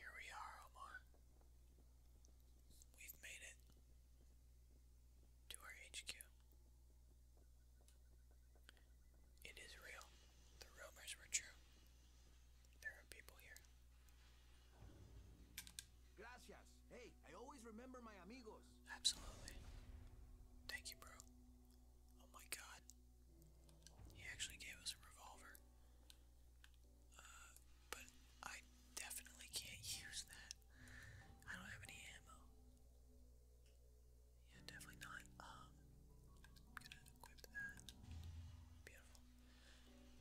Here we are, Omar. We've made it to our HQ. It is real. The rumors were true. There are people here. Gracias. Hey, I always remember my amigos. Absolutely. Thank you, bro. Oh my god. He actually gave us a revolver. Uh, but I definitely can't use that. I don't have any ammo. Yeah, definitely not. I'm um, gonna equip that. Beautiful.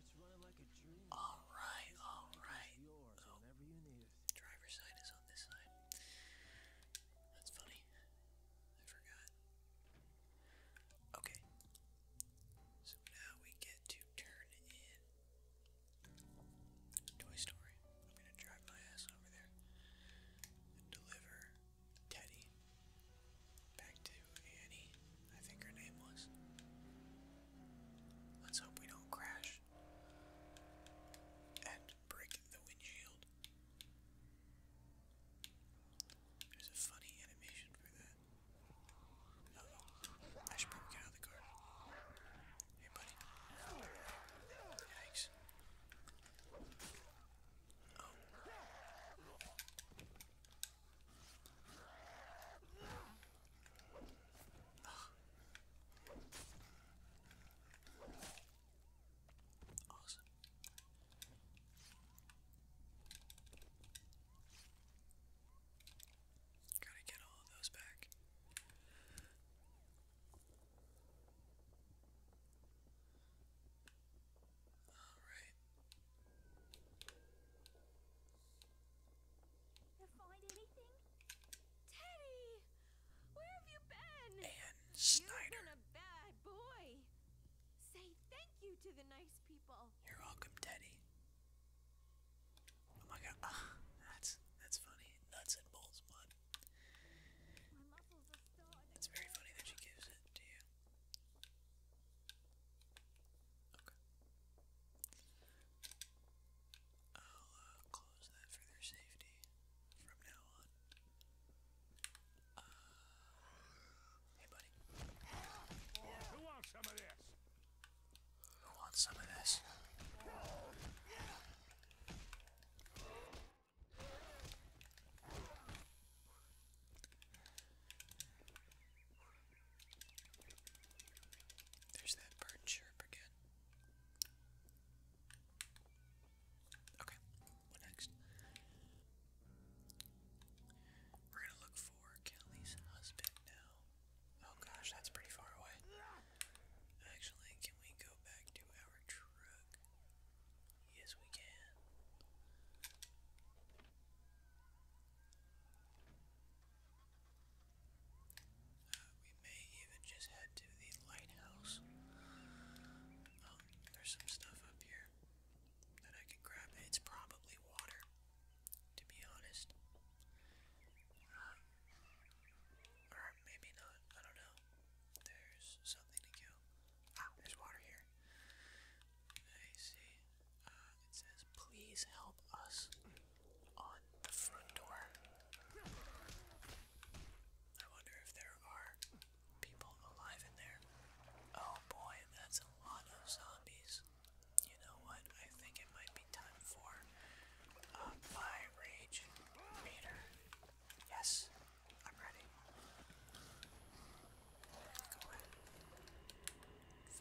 It's running like a dream. All right, all right. Oh, driver's side is on this side. That's funny. I forgot. Okay. So now we get to turn in Toy Story. I'm gonna drive my ass over there and deliver Teddy back to Annie, I think her name was. Let's hope we don't crash and break the windshield. There's a funny animation for that. Uh -oh. I should probably get out of the car. Hey, buddy. Yikes. Oh. Ugh. Awesome. Gotta get all those back. Alright. You find anything? Teddy! Where have you been? You've been a bad boy. Say thank you to the nice people. You're welcome, Teddy. Oh my god, ah, that's that's funny. Nuts and bolts, bud. It's very funny that she gives it to you. Okay. I'll uh, close that for their safety from now on. Uh, hey, buddy. Who wants some of this? Who wants some of this? There's that bird chirp again. Okay, what next? We're gonna look for Kelly's husband now. Oh gosh, that's pretty far away. Actually, can we go back to our truck? Yes, we can. Uh, we may even just head to the lighthouse. Oh, there's some stuff up here that I can grab. It's probably water, to be honest. Uh, or maybe not. I don't know. There's something to kill. Ah, there's water here. I see. Uh, it says, please help us on the front door. I wonder if there are people alive in there. Oh boy, that's a lot of zombies. You know what? I think it might be time for uh, my rage meter. Yes, I'm ready. Go ahead.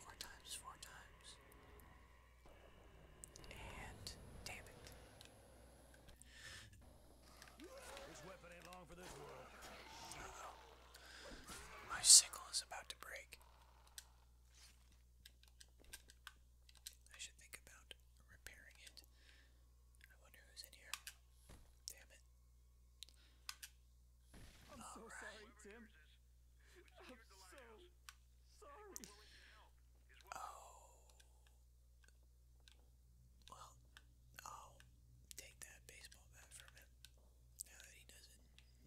Four times, four times. And damn this weapon ain't long for this world. My sickle is about to break. I should think about repairing it. I wonder who's in here. Damn it. I'm so sorry, Tim. I'm so sorry. Oh. Well, I'll take that baseball bat from him. Now that he doesn't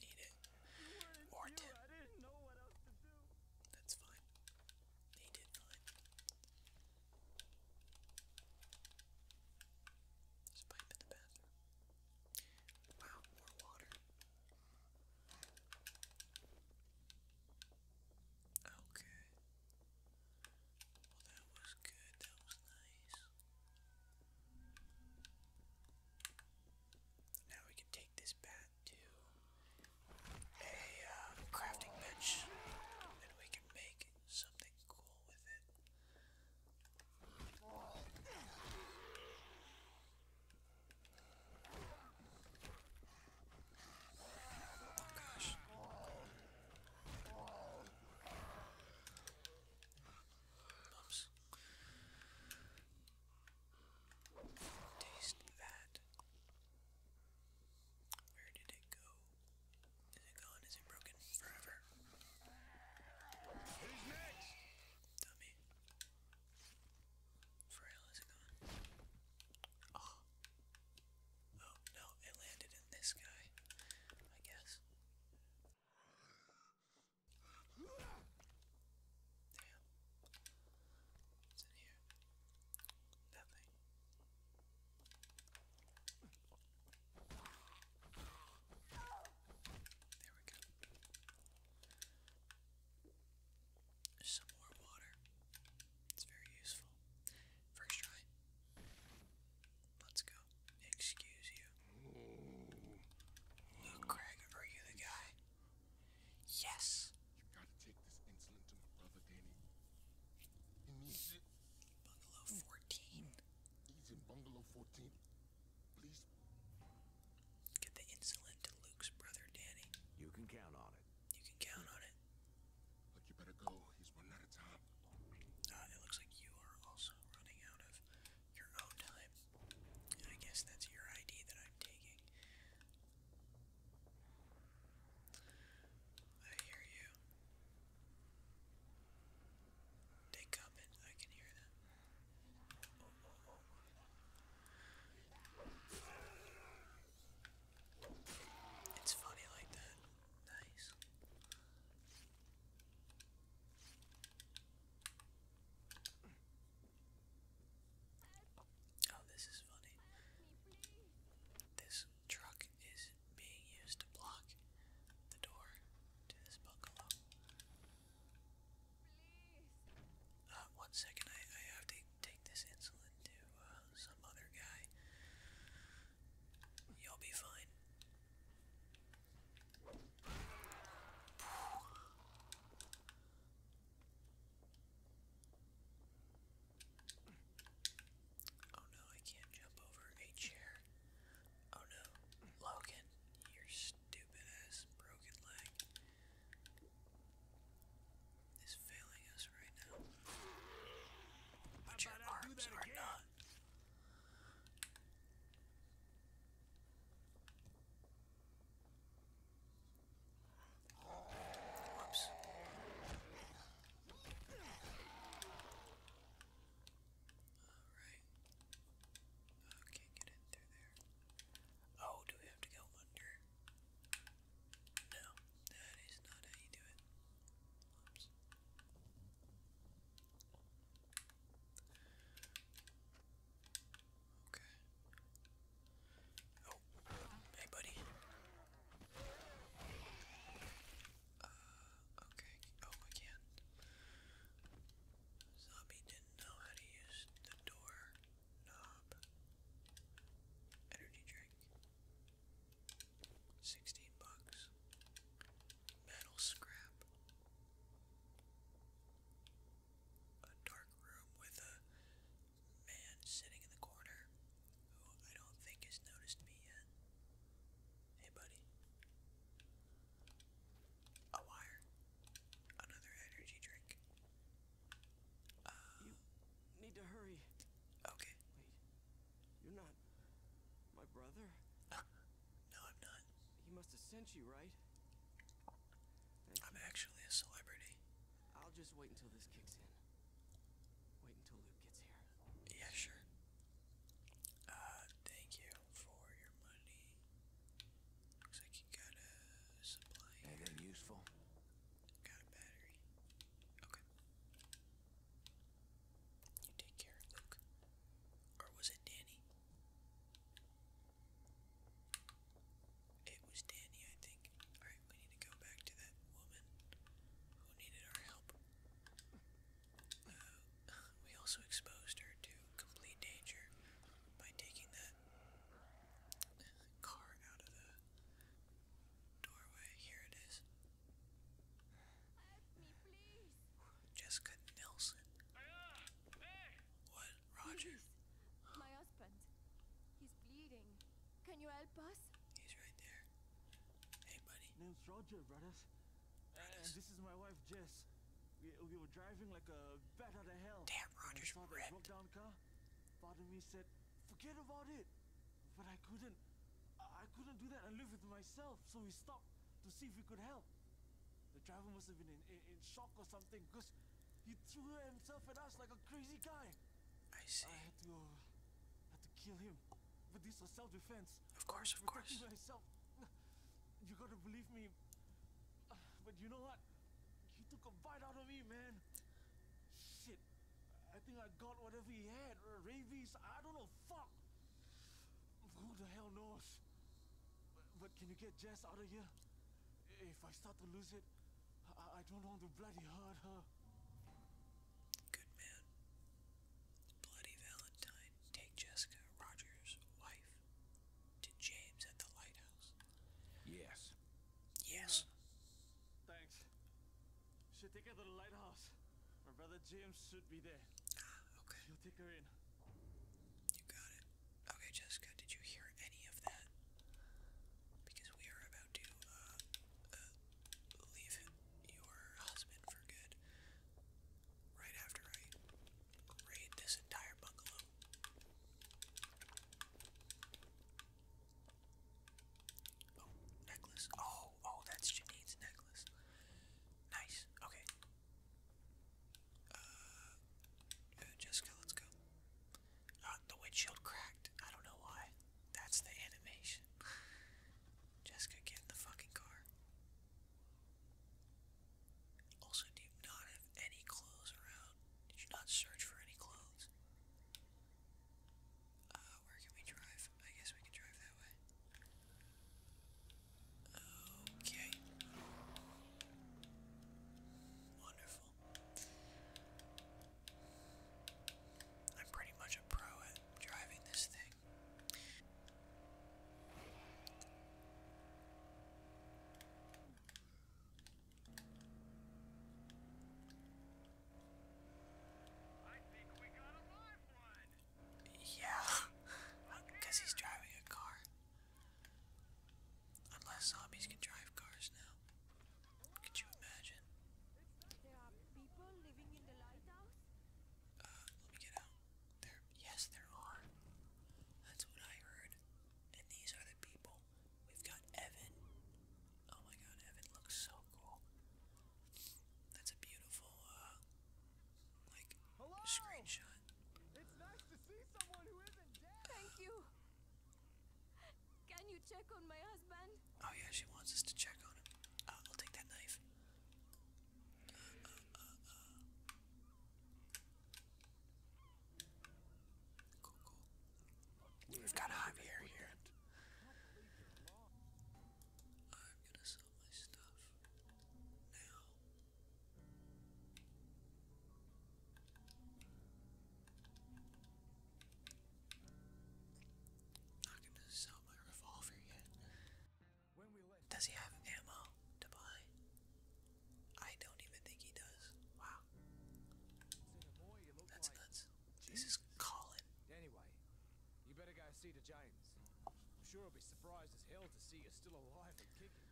need it. Or Tim. That's fine. He did fine. pipe in the bathroom. Wow, more water. Okay. Well, that was good. That was nice. Now we can take this bat to a um, crafting bench and we can make something cool with it. Oh gosh. Bumps. Taste that. Where did it go? Is it gone? Is it broken forever? Who's next? Dummy. For is gone? Oh. Oh no, it landed in this guy. I guess. Damn. What's in here? Nothing. There we go. Some more water. It's very useful. First try. Let's go. Excuse you. Luke oh, Craig, are you the guy? Yes. You gotta take this insulin to my brother Danny. He needs it. Bungalow 14. He's in Bungalow 14. Please. Get the insulin to Luke's brother Danny. You can count on it. You can count on it. Look, you better go. He's running out of time. Uh, it looks like you are also running out of your own time. I guess that's your ID that I'm taking. I hear you. They come I can hear them. It's funny like that. Oh, this is funny. This truck is being used to block the door to this bungalow. Uh, one second, I, I have to take this insulin to uh, some other guy. You'll be fine. Oh no, I can't jump over a chair. Oh no, Logan, your stupid ass broken leg is failing us right now. But your arms are not. Whoops. Alright. Okay, get in through there. Oh, do we have to go under? No, that is not how you do it. Whoops. Okay. Oh, hey, buddy. Uh, okay. Oh, I can't. Zombie didn't know how to use the door knob. Energy drink. Sixteen bucks metal scrap. A dark room with a man sitting in the corner who I don't think has noticed me yet. Hey, buddy. A wire. Another energy drink. you need to hurry. Okay. Wait. You're not. My brother? no, I'm not. He must have sent you, right? I'm actually a celebrity. I'll just wait until this kicks in. Wait until Luke gets here. Yeah, sure. Uh, thank you for your money. Looks like you got a supply Anything useful? Got a battery. Okay. You take care, Luke. Or was it Danny? It was Danny, I think. Alright, we need to go back to that woman who needed our help. Uh, we also exposed her to complete danger by taking that car out of the doorway. Here it is. Help me, please. Jessica Nelson. What, Roger? my husband. He's bleeding. Can you help us? He's right there. Hey, buddy. Name's Roger, brothers. this is my wife, Jess. We, we were driving like a bat out of hell. Damn, Roger's and I broke down car. Part of said, forget about it. But I couldn't. I couldn't do that and live with myself, so we stopped to see if we could help. The driver must have been in, in, shock or something because he threw himself at us like a crazy guy. I see. I had to, uh, had to kill him. But this was self-defense. Of course, of course. Myself. You gotta believe me. But you know what? He took a bite out of me, man. Shit. I think I got whatever he had. Rabies. I don't know. Fuck. Who the hell knows? But, can you get Jess out of here? If I start to lose it, I, I don't want to bloody hurt her. Good man. Bloody Valentine, take Jessica, Roger's wife, to James at the lighthouse. Yes. Yes. Uh, thanks. Should take her to the lighthouse. My brother James should be there. Ah, okay. you take her in. You got it. Okay, Jessica, did you hear any of that? Because we are about to uh, uh, leave your husband for good. Right after I raid this entire bungalow. Oh, necklace. Oh, oh, that's Janine's necklace. Nice. Okay, uh, uh, Jessica, let's go. Uh, the windshield cracked. I don't know why. That's the animation. Jessica, get in the fucking car. Also, do you not have any clothes around? Did you not search for any clothes? Uh, where can we drive? I guess we can drive that way. Okay. Wonderful. I'm pretty much a pro at driving this thing. I think we got a live one. Yeah, because he's driving a car. Unless zombies can drive cars now. Could you imagine? There uh, are people living in the lighthouse? let me get out. There, yes, there are. That's what I heard. And these are the people. We've got Evan. Oh my god, Evan looks so cool. That's a beautiful, uh, like screenshot. Thank you. Can you check on my husband? Oh yeah, she wants us to check on him. I'll take that knife. Cool, cool. We've got a here. Not gonna sell my revolver yet. Does he have ammo to buy? I don't even think he does. Wow. That's nuts. This is Colin. Anyway, you better go see the James. I'm sure he'll be surprised as hell to see you're still alive and kicking.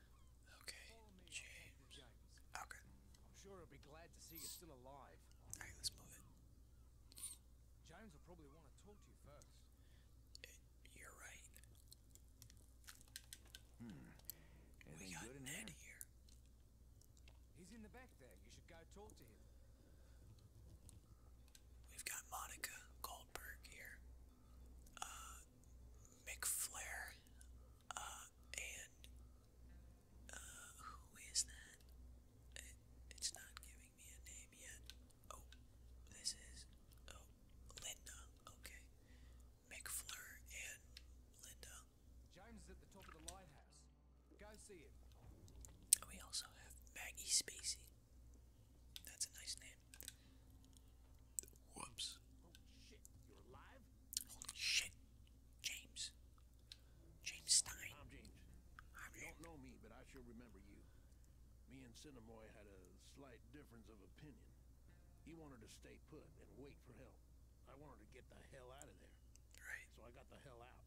Okay, James. Okay. I'm sure he'll be glad to see you're still alive. Alright, let's move it. Jones will probably want to talk to you first. Uh, you're right. Hmm. we got good in here. He's in the back there. You should go talk to him. We've got Monica Goldberg here. Uh, uh, and uh, who is that? it's not giving me a name yet. Oh, this is oh Linda. Okay, Mick and Linda. James is at the top of the lighthouse. Go see him. We also have Maggie Spacey. That's a nice name. Whoops. Holy shit, you're alive? Holy shit. James. James Stein. I'm James. I'm you don't know me, but I sure remember you. Me and Cinemoy had a slight difference of opinion. He wanted to stay put and wait for help. I wanted to get the hell out of there. Right. So I got the hell out.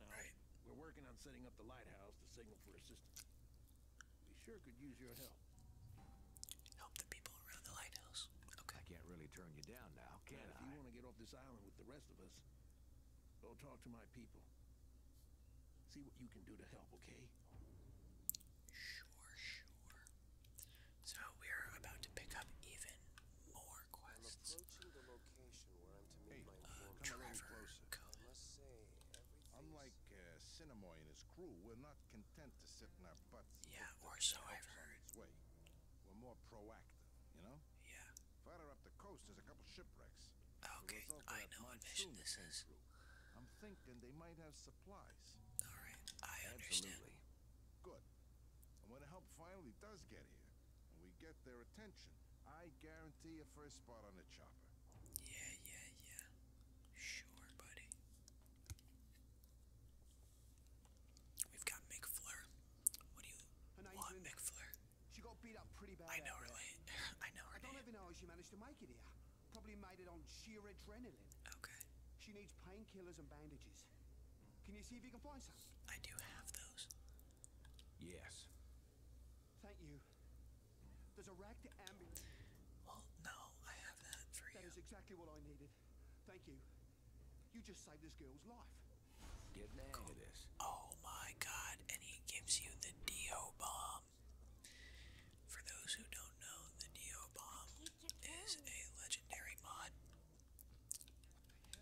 Now, right. we're working on setting up the lighthouse to signal for assistance. We sure could use your help. Help the people around the lighthouse. Okay. I can't really turn you down now, can if you want to get off this island with the rest of us, go talk to my people. See what you can do to help, okay? Sure, sure. So we're about to pick up even more quests. hey, my uh, Come a Unlike uh, and his crew, we're not content to sit in our butts. Yeah, or so I've heard. Way. We're more proactive, you know? Yeah. Farther up the coast, there's a couple shipwrecks. Okay, I know what mission this is. I'm thinking they might have supplies. Alright, I understand. Good. And when the help finally does get here, and we get their attention, I guarantee a first spot on the chopper. Yeah, yeah, yeah. Sure, buddy. We've got McFleur. What do you want, McFleur? I know her I know I don't even know how she managed to make it here. Probably made it on sheer adrenaline. Okay. She needs painkillers and bandages. Can you see if you can find some? I do have those. Yes. Thank you. Well, no, I have that That is exactly what I needed. Thank you. You just saved this girl's life. Oh my god, and he gives you the DO bomb. For those who don't know, the DO bomb is a legendary mod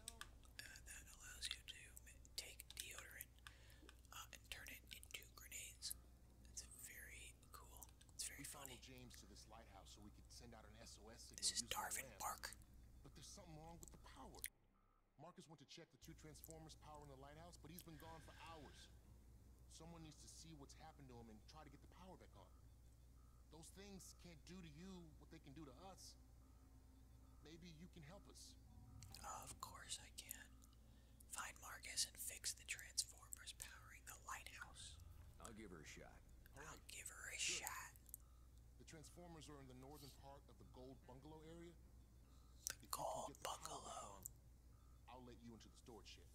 uh, that allows you to take deodorant uh, and turn it into grenades. It's very we cool. It's James to this lighthouse so we could send out an SOS signal. This is Darwin Park. But there's something wrong with the power. Marcus went to check the two transformers power in the lighthouse, but he's been gone for hours. Someone needs to see what's happened to him and try to get the power back on. Those things can't do to you what they can do to us. Maybe you can help us. Of course I can. Find Marcus and fix the transformers powering the lighthouse. I'll give her a shot. I'll give her a shot. The transformers are in the northern part of the Gold Bungalow area. The Gold Bungalow. I'll let you into the storage shed.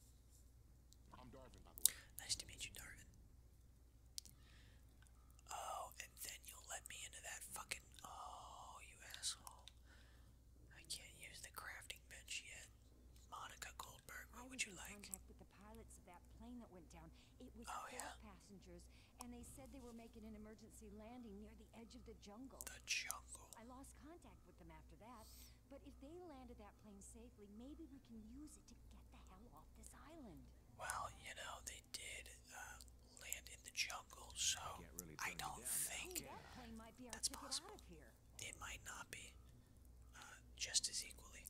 I'm Darvin, by the way. Nice to meet you, Darwin. Oh, and then you'll let me into that fucking. Oh, you asshole. I can't use the crafting bench yet. Monica Goldberg, what would you like? I Contact with the pilots of that plane that went down. It was oh, four passengers, and they said they were making an emergency landing near the edge of the jungle. The jungle. I lost contact with them after that, but if they landed that plane safely, maybe we can use it to get the hell off this island. Well, you know they did uh, land in the jungle, so I, don't think that's possible. here. It might not be uh, just as equally.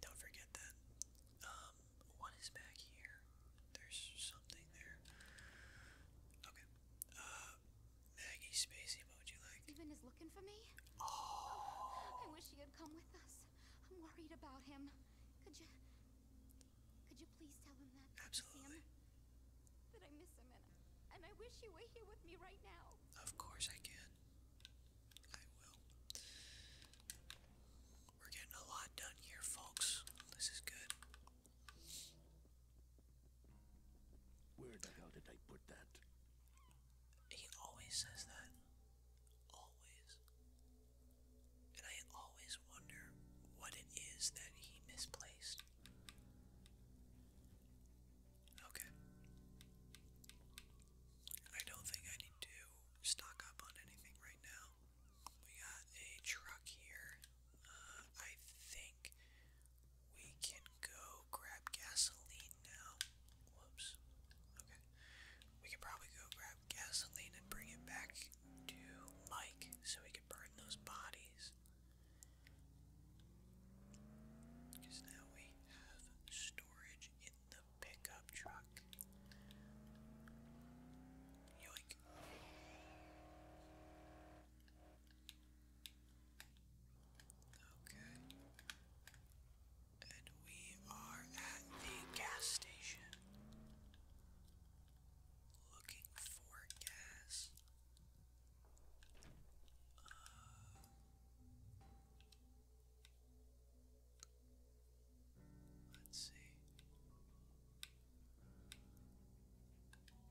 Don't forget that. what um, is back here? There's something there. Okay. Uh, Maggie, Spacey, what you like? Steven is looking for me. Oh. I wish he had come with us. I'm worried about him. Could you? Could you please tell him that? Absolutely. That I miss him and I wish you were here with me right now. Of course I can. I will. We're getting a lot done here, folks. This is good. Where the hell did I put that? He always says that. Always. And I always wonder what it is that he misplaced. Okay. I don't think I need to stock up on anything right now. We got a truck here. Uh, I think we can go grab gasoline now. Whoops. Okay. We could probably go grab gasoline and bring it back to Mike so we can burn those bodies. Because now we have storage in the pickup truck. Yoink. Okay. And we are at the gas station. Looking for gas. Uh, let's see.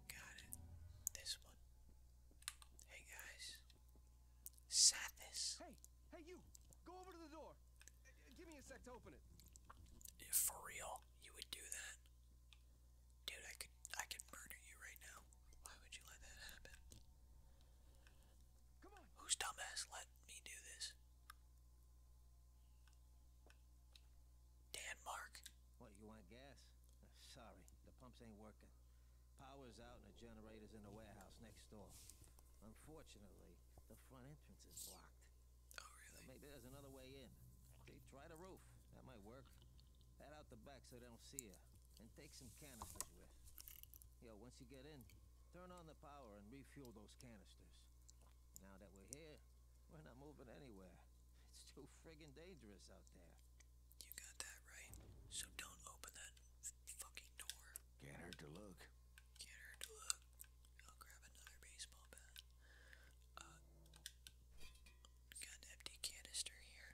Got it. This one. Hey guys. Sadness. Hey, hey you. Go over to the door. Uh, give me a sec to open it. for real, you would do that, dude. I could murder you right now. Why would you let that happen? Come on. Whose dumbass let me do this? Denmark. What you want gas? Uh, sorry, the pumps ain't working. Power's out and the generator's in the warehouse next door. Unfortunately, the front entrance is blocked. Oh really? maybe there's another way in. See, try the roof. That might work. Head out the back so they don't see you. And take some canisters with. Yo, once you get in, turn on the power and refuel those canisters. Now that we're here, we're not moving anywhere. It's too friggin' dangerous out there. You got that right. So don't open that fucking door. Can't hurt to look. Can't hurt to look. I'll grab another baseball bat. Uh, got an empty canister here.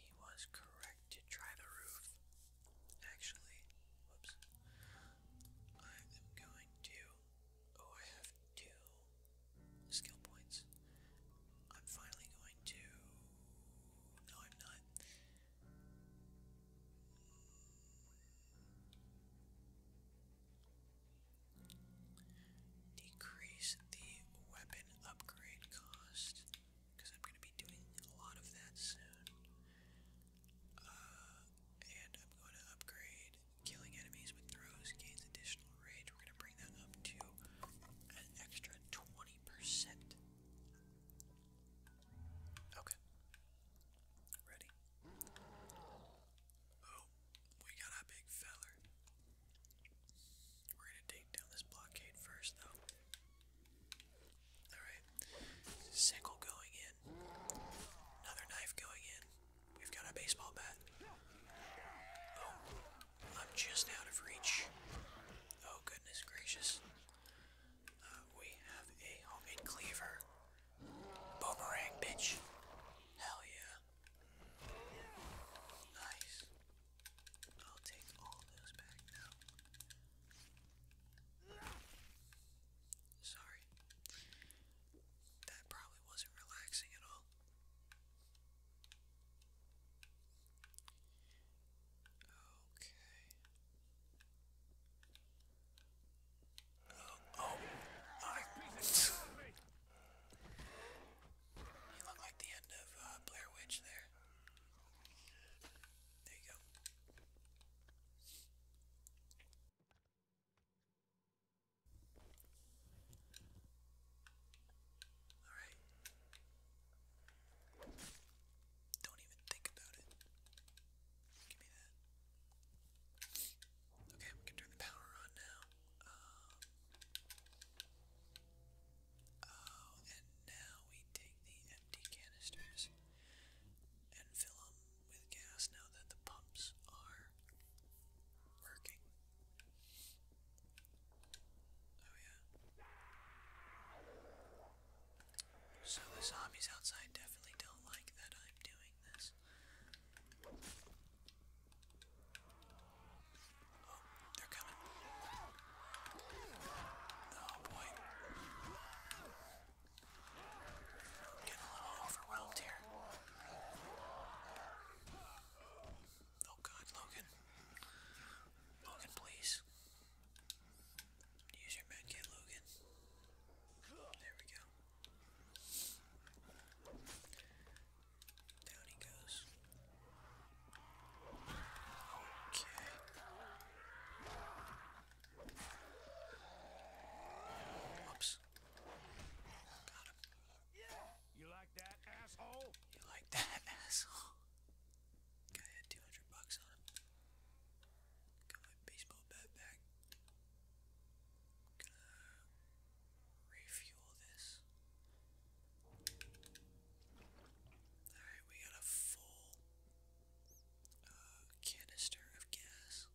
He was correct to try the roof. Actually, whoops. I am going to. Oh, I have two skill points. I'm finally going to. No, I'm not. Decrease the weapon upgrade cost, because I'm going to be doing a lot of that soon. Uh, and I'm going to upgrade killing enemies with throws, gains additional rage. We're going to bring that up to an extra 20%. Okay. Ready? Oh, we got our big feller. We're gonna take down this blockade first, though. Alright, sickle going in. Another knife going in. We've got a baseball bat. Oh, I'm just out of reach. Oh, goodness gracious. Uh, we have a homemade cleaver. Boomerang, bitch. Hell yeah. Nice. I'll take all those back now. Sorry. That probably wasn't relaxing at all. Okay. Oh, oh I, you look like the end of uh, Blair Witch there. There you go. Alright. Don't even think about it. Give me that. Okay, we can turn the power on now oh, and now we take the empty canisters and fill them with gas now that the pumps are working. Oh, yeah. So the zombies outside definitely don't like that I'm doing this. Oh, they're coming. Oh boy. I'm getting a little overwhelmed here. Oh god, Logan. Logan, please. Use your medkit, Logan. There we go. Down he goes. Okay. Whoops. Got him. You like that, asshole? You like that, asshole? Guy 200 bucks on him. Got my baseball bat back refuel this. Alright, we got a full uh, canister of gas.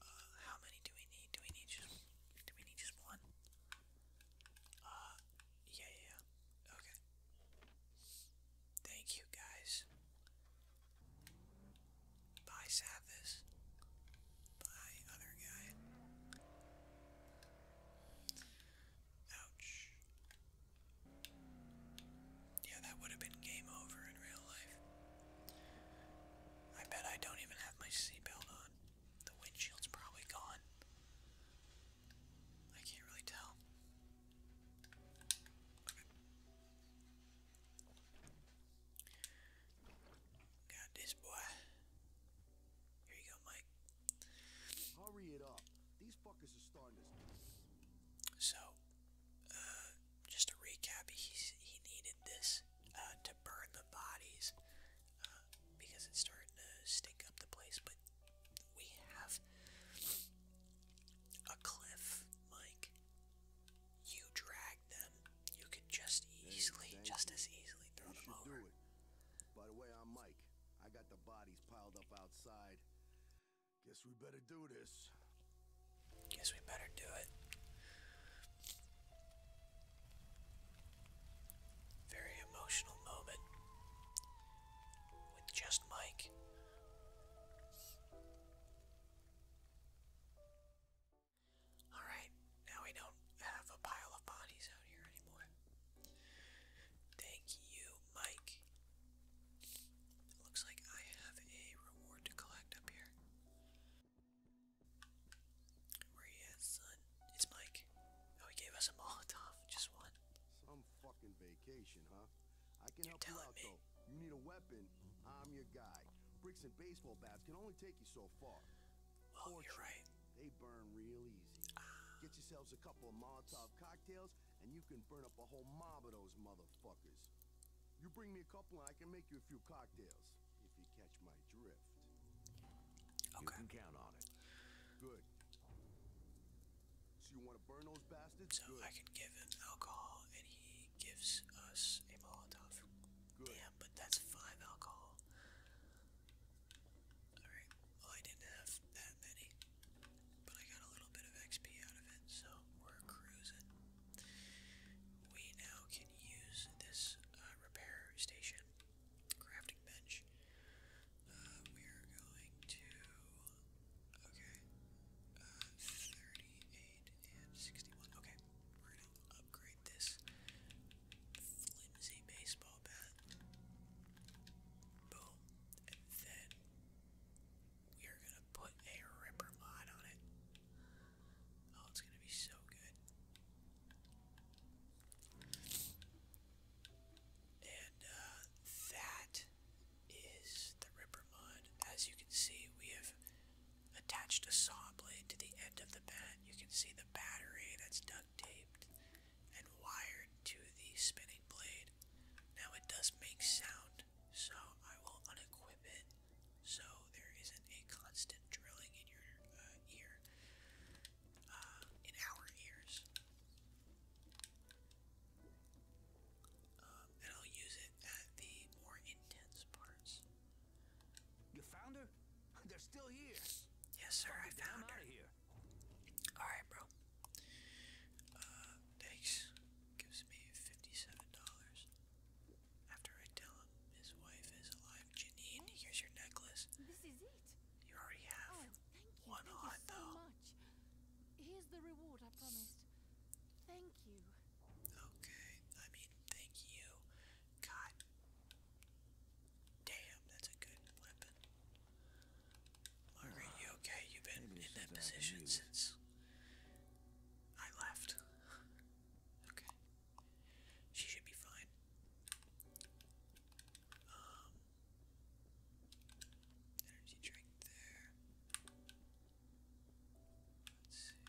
Uh, how many do we need? Do we need just do we need just one? Uh, yeah, yeah, Okay. Thank you guys. Bye, Sathis. Ouch. Yeah, that would have been game over in real life. I bet I don't even have my seatbelt on. The windshield's probably gone. I can't really tell. Got this boy. Here you go, Mike. Hurry it up. These fuckers are starting to So, uh, just a recap, he's, he needed this uh, to burn the bodies uh, because it's starting to stink up the place. But we have a cliff, Mike. You drag protect them, you could just easily, just as easily throw you them over. it. By the way, I'm Mike. I got the bodies piled up outside. Guess we better do this. Guess we better do it. Very emotional moment with just Mike. Alright, now we don't have a pile of bodies out here anymore. Thank you, Mike. looks like I have a reward to collect up here. Where he is, son? It's Mike. Oh, he gave us a Molotov, just one. Some fucking vacation, huh? I can help you out, though. You need a weapon, I'm your guy. Bricks and baseball bats can only take you so far. Well, They burn real easy. Get yourselves a couple of Molotov cocktails, and you can burn up a whole mob of those motherfuckers. You bring me a couple, and I can make you a few cocktails, if you catch my drift. You can count on it. Good. So you want to burn those bastards? So I can give him alcohol, and he gives us a Molotov. Good. Damn, but that's five alcohol. Alright, well, I didn't have that many, but I got a little bit of XP out of it, so we're cruising. We now can use this uh, repair station, crafting bench. Uh, we are going to. Okay, uh, 38 and 61. Okay, upgrade this flimsy baseball bat. Boom. And then we are gonna put a ripper mod on it. Oh, it's gonna be so good. And uh, that is the Ripper Mod. As you can see, we have attached a saw blade to the end of the bat. You can see the battery that's done duct taped and wired to the spinning blade. Now it does make sound, so I will unequip it so there isn't a constant drilling in your uh, ear, uh, in our ears. Um, and I'll use it at the more intense parts. You found her? They're still here. Yes, sir, I found her. Here. All right, bro. Uh, thanks. Gives me fifty-seven dollars. After I tell him his wife is alive, Janine, here's your necklace. This is it. You already have oh, thank you. one thank you so Much. Here's the reward I promised. Thank you. Okay, I mean, thank you. God Damn, that's a good weapon. Margaret, you okay? You've been in that position since I left. okay. She should be fine. Um, energy drink there. Let's see.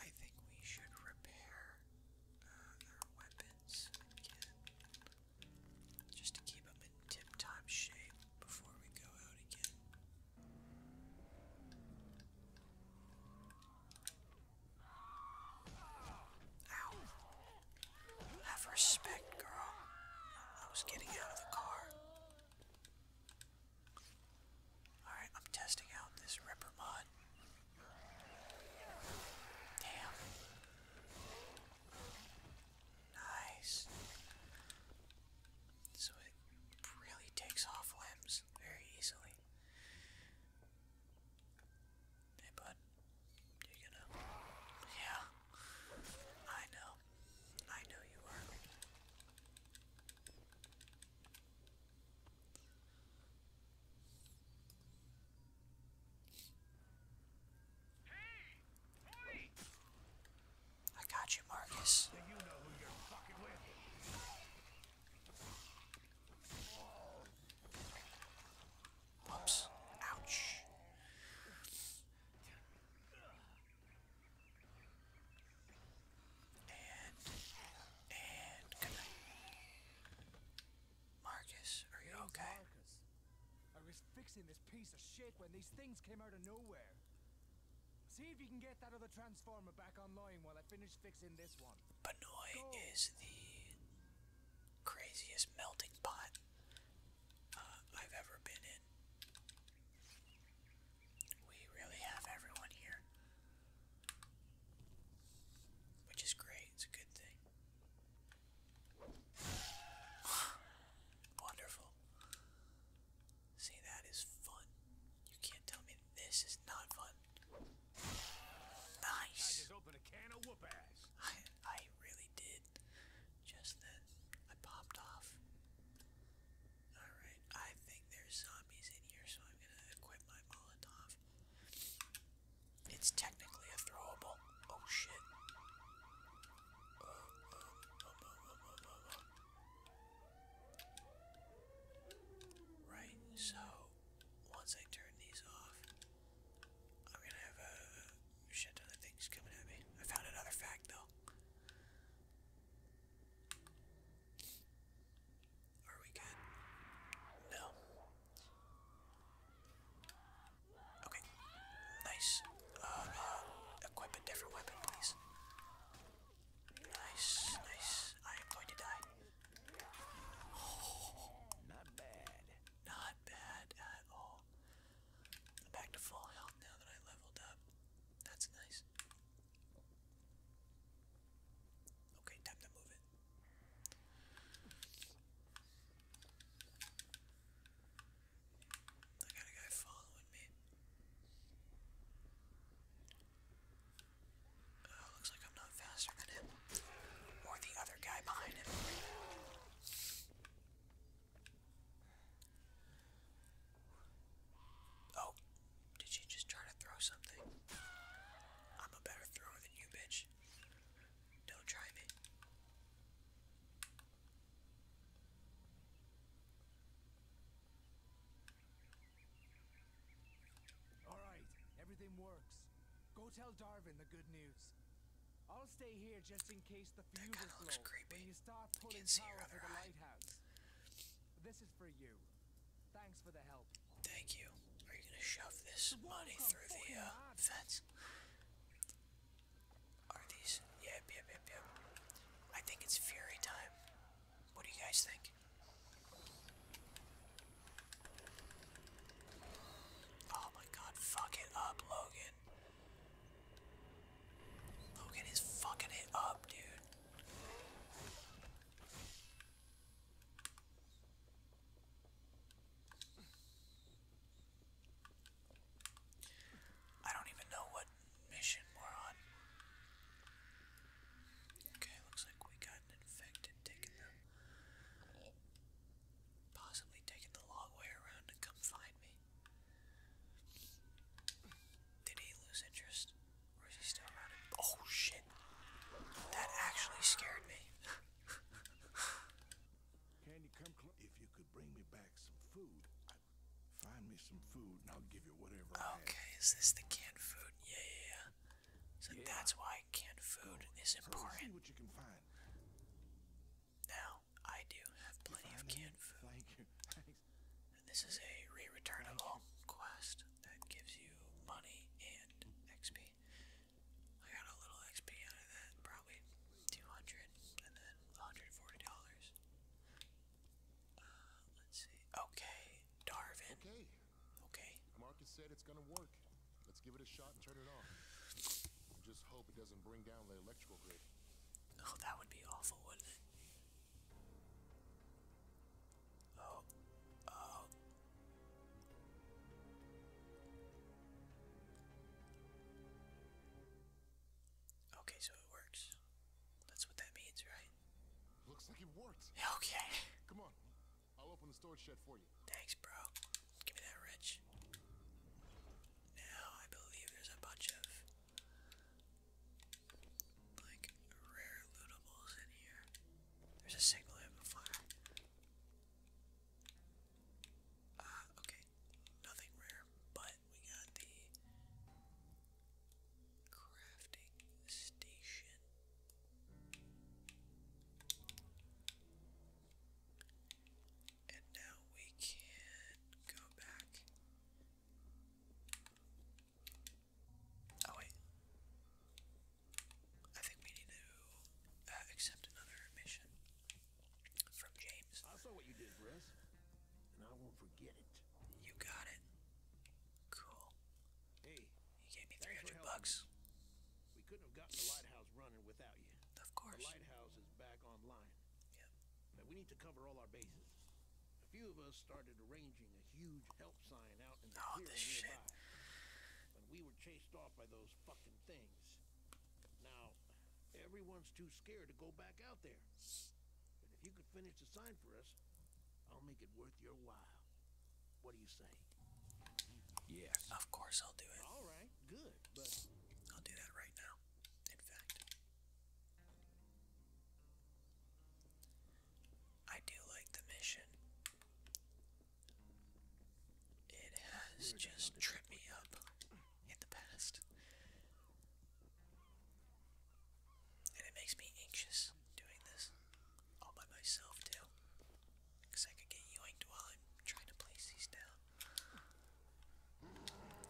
I think we should repair weapons Just to keep them in tip-top shape before we go out again. Have respect, girl. I was getting out of the car. Alright, I'm testing out this Ripper mod. Damn. Nice. So it really takes off limbs very easily. Hey, bud. Yeah. I know. I know you are. I got you, Marcus. You know who you're fucking with. Whoops. Ouch. And, and, good night. Marcus, are you okay? Marcus. I was fixing this piece of shit when these things came out of nowhere. See if you can get that other transformer back online while I finish fixing this one. Banoi is the craziest melting pot uh, I've ever been in. We really have everyone here, which is great. It's a good thing. Wonderful. See, that is fun. You can't tell me this is not fun. Nice. I just opened a can of whoop ass. I, I really did. Just then, I popped off. Alright, I think there's zombies in here, so I'm gonna equip my Molotov. It's technically a throwable. Oh shit. Right, so once I turn these off, I'm gonna have a shit ton of things coming at me. I found another fact though. Are we good? No. Okay. Nice. Uh, equip a different weapon, please. Nice, nice. I am going to die. Oh, not bad. Not bad at all. I'm back to full health now that I leveled up. That's nice. Okay, time to move it. I got a guy following me. looks like I'm not faster than him. Or the other guy behind him. Oh, did she just try to throw something? I'm a better thrower than you, bitch. Don't try me. Alright, everything works. Go tell Darwin the good news. I'll stay here just in case the fuse is low when you start pulling power for the lighthouse. This is for you. Thanks for the help. Thank you. Are you gonna shove this money through the uh, fence? Are these? Yep, yep, yep, yep. I think it's fury time. What do you guys think? Oh my god, fuck it up, Logan. Logan is fucking it up, dude. I don't even know what mission we're on. Okay, looks like we got an infected taking the possibly taking the long way around to come find me. Did he lose interest? Or is he still running? Oh shit! That actually scared me. Can you If you could bring me back some food, find me some food and I'll give you whatever I have. Okay, is this the canned food? Yeah, yeah, So that's why canned food is important. Now, I do have plenty of canned food. this is a re-returnable quest that gives you money and XP. I got a little XP out of that, probably 200, and then $140. Uh, let's see. Okay, Darwin. Okay. Okay. Marcus said it's gonna work. Let's give it a shot and turn it on. just hope it doesn't bring down the electrical grid. Oh, that would be awful, wouldn't it? Oh, oh, Okay, so it works. That's what that means, right? Looks like it worked. Okay. Come on. I'll open the storage shed for you. Thanks, bro. Give me that wrench. Now I believe there's a bunch of like rare lootables in here. There's a single amplifier. Ah, okay, nothing rare, but we got the crafting station. And now we can go back. Oh, wait. I think we need to uh, accept another mission from James. I saw what you did, Russ, and I won't forget it. You got it. Cool. Hey, you gave me 300 bucks. We couldn't have gotten the lighthouse running without you. Of course. The lighthouse is back online. Yeah. But we need to cover all our bases. A few of us started arranging a huge help sign out in the oh, nearby. When we were chased off by those fucking things, now, everyone's too scared to go back out there. But if you could finish the sign for us, I'll make it worth your while. What do you say? Yes. Of course I'll do it. All right, good. But I'll do that right now. In fact. I do like the mission. It has just tripped me up in the past. And it makes me anxious doing this all by myself, too. Because I could get you yoinked while I'm trying to place these down.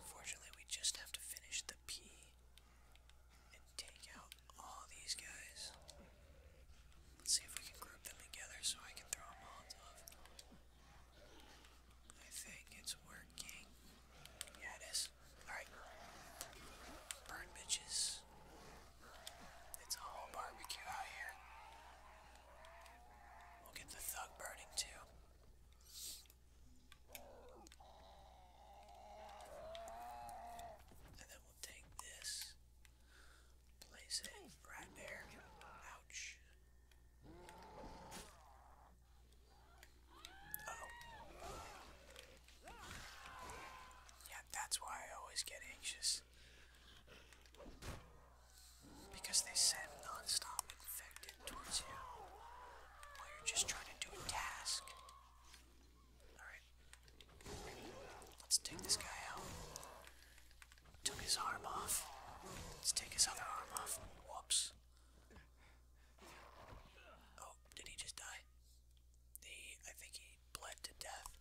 Fortunately, we just have to finish the P and take out all these guys. Let's see if we can group them together so I can throw them all off. I think it's working. Yeah, it is. Alright. Burn bitches. It's a whole barbecue out here. We'll get the thug burning too. And then we'll take this. Place it right there. Ouch. Oh. Yeah, that's why I always get anxious. Because they send non-stop infected towards you while you're just trying to do a task. Alright. Let's take this guy out. Took his arm off. Let's take his other arm off. Whoops. Oh, did he just die? He, I think he bled to death.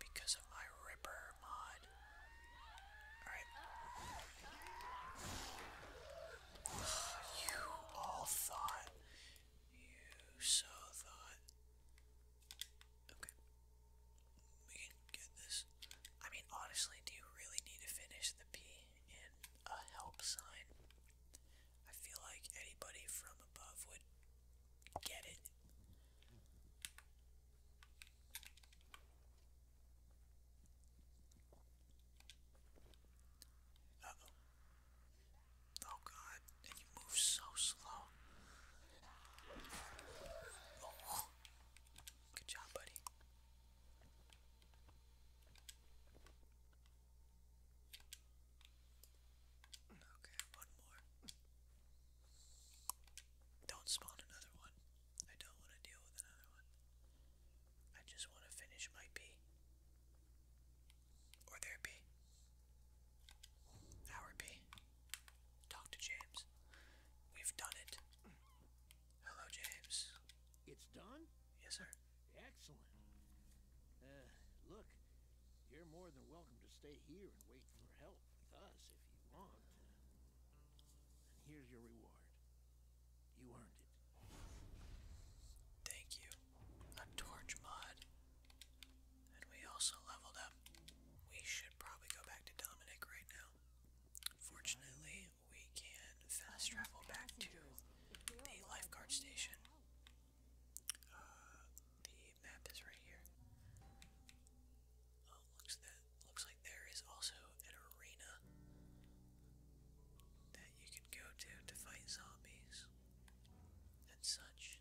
Because of my Ripper mod. Alright. You all thought. You so thought. Okay. We can get this. I mean, honestly, do you really need to finish the P in a help sign? I feel like anybody from above would get it. oh. Oh god and you move so slow. Oh. Good job, buddy. Okay, one more. Don't spawn another one. I don't want to deal with another one. I just want to finish my pee. Or their pee. Howard Talk to James. We've done it. Hello, James. It's done? Yes, sir. Excellent. Uh, look, you're more than welcome to stay here and wait for help with us if you want. and here's your reward. You earned it. Thank you. A torch mod. And we also leveled up. We should probably go back to Dominic right now. Fortunately, we can fast travel back to the lifeguard station. Uh, the map is right here. Oh, looks that looks like there is also an arena that you can go to to fight zombies and such.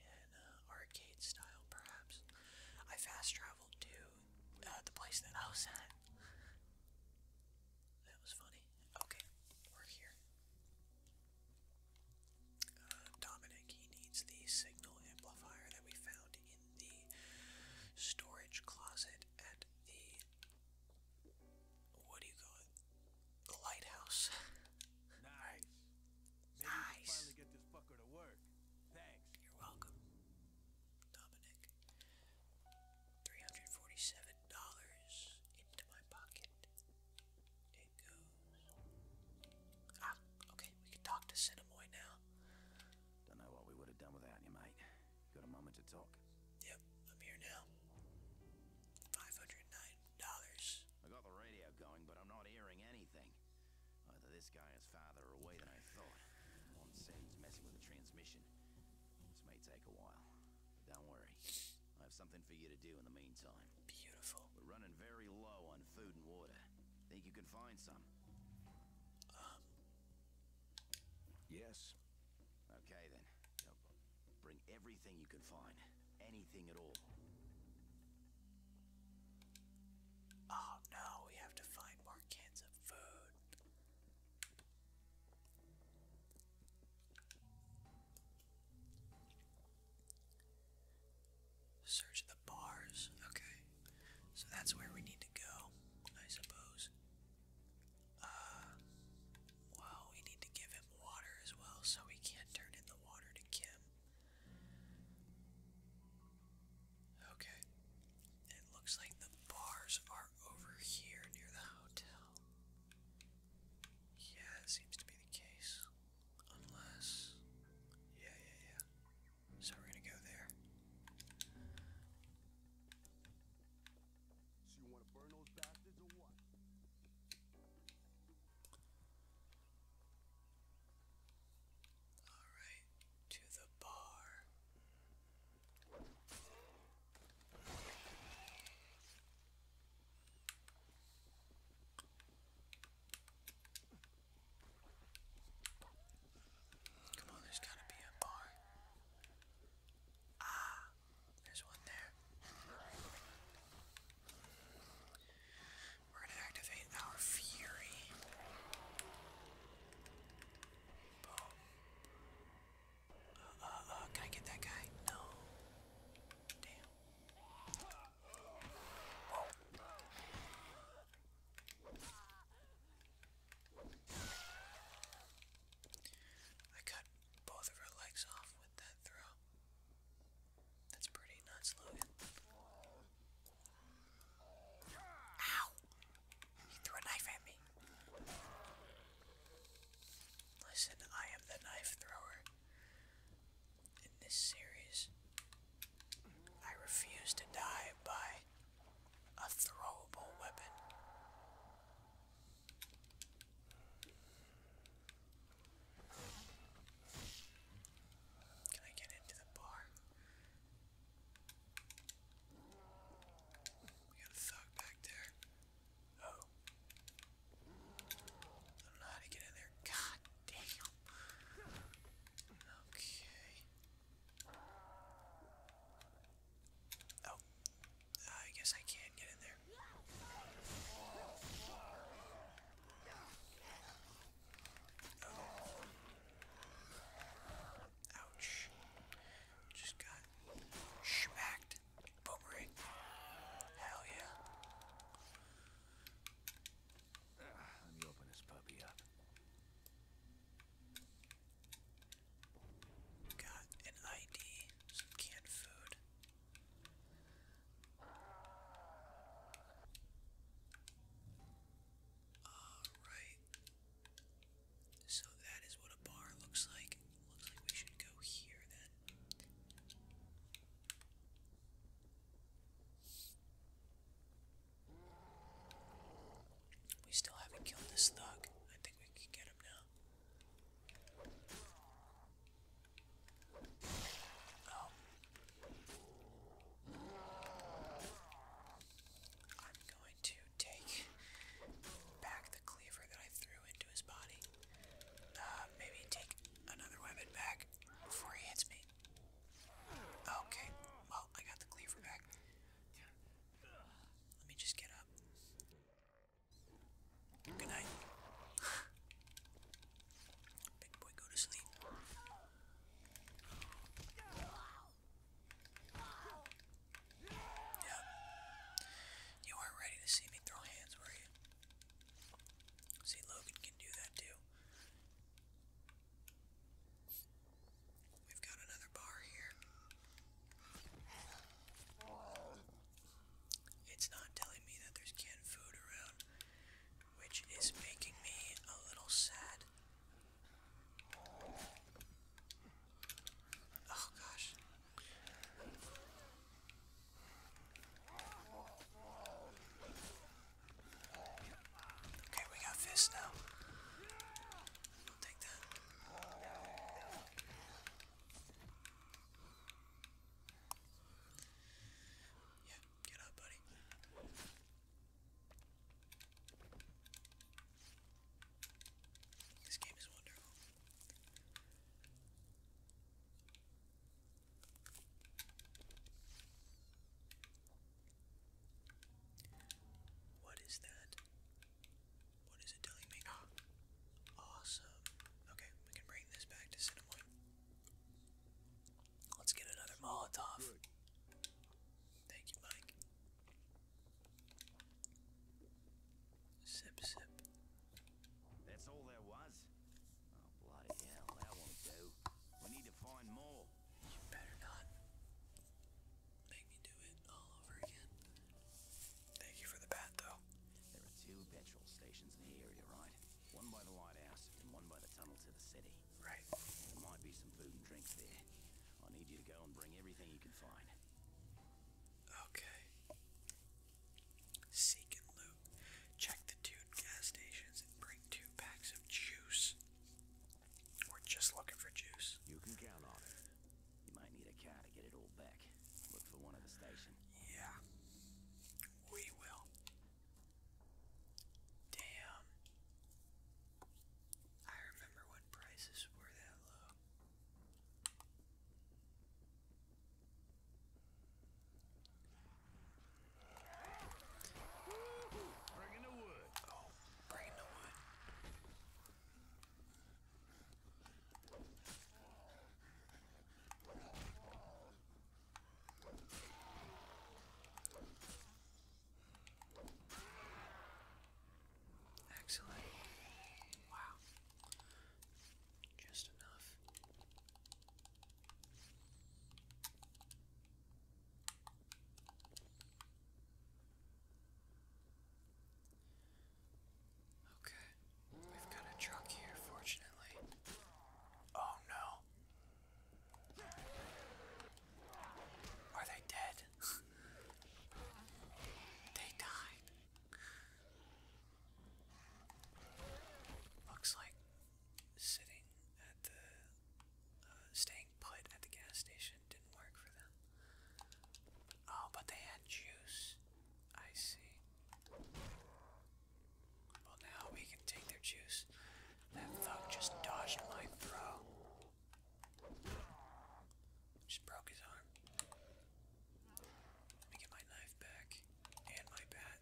Uh, arcade style, perhaps. I fast traveled to uh, the place that I was at. That was funny. Okay, we're here. Uh, Dominic, he needs the signal amplifier that we found in the storage closet at the. What do you call it? The lighthouse. Nice nice. finally get this fucker to work. Thanks. You're welcome, Dominic. Three hundred forty-seven dollars into my pocket. It goes. Ah, okay. We can talk to Cinemoy now. Don't know what we would have done without you, mate. got a moment to talk? Yep, I'm here now. Five hundred nine dollars. I got the radio going, but I'm not hearing anything. Either this guy is farther away than I thought. One said he's messing with the transmission. This may take a while, but don't worry. I have something for you to do in the meantime. Beautiful. We're running very low on food and water. Think you can find some? Um. Yes. Okay then. Bring everything you can find. Anything at all. Oh no, we have to find more cans of food. Search the bars. Okay. So that's where we need to go, I suppose. Uh, well, we need to give him water as well, so we can't turn in the water to Kim. Okay. It looks like the bars are over here near the hotel. Yeah, it seems to be the case. Unless. Yeah, yeah, yeah. So we're gonna go there. So you want to burn those bastards or what? All right, to the bar. Come on, there's gotta be a bar. Ah, there's one there. We're gonna activate our fury. Uh, uh, uh, can I get that guy? No. Damn. I cut both of her legs off with that throw. That's pretty nuts, Logan. Ow! He threw a knife at me. Listen, I am the knife thrower. In this series, I refuse to die by a throwable weapon. Can I get into the bar? We got a thug back there. Oh. I don't know how to get in there. God damn. Okay. Oh. I guess I can't get in there. Ouch. Just got smacked. Boomerang. Hell yeah. Ah, let me open this puppy up. Got an ID, some canned food. Alright. So that is what a bar looks like. Looks like we should go here then. We still haven't killed this thug. I think we can get him now. Oh, I'm going to take back the cleaver that I threw into his body. Uh, maybe take another weapon back before he hits me. Okay, well, I got the cleaver back. Let me just get up. Good night. Big boy, go to sleep. Yeah. You weren't ready to see me throw hands, were you? See, Logan can do that too. We've got another bar here. It's not telling me that there's canned food around which is making me a little sad. Oh gosh. Okay, we got fists now. take that. Yeah, get up, buddy. This game is wonderful. What is that? What is it telling me? awesome. Okay, we can bring this back to Cinnamon. Let's get another Molotov. Thank you, Mike. Sip, sip. That's all there was? Oh, bloody hell, that won't do. We need to find more. You better not. Make me do it all over again. Thank you for the bat, though. There are two petrol stations in the area, right? One by the lighthouse and one by the tunnel to the city. Right. There might be some food and drinks there. I need you to go and bring everything you can find. Okay. Seek and loot. Check the two gas stations and bring two packs of juice. We're just looking for juice. You can count on it. You might need a car to get it all back. Look for one at the station. Yeah. We will. Damn. I remember when prices were that low. Bringing the wood. Oh, the wood. Excellent. Wow. Just enough. Okay. We've got a truck here, fortunately. Oh no. Are they dead? they died. Looks like sitting at the. Uh, staying put at the gas station didn't work for them. Oh, but they had juice. I see. Well, now we can take their juice. That thug just dodged my throw. Just broke his arm. Let me get my knife back and my bat.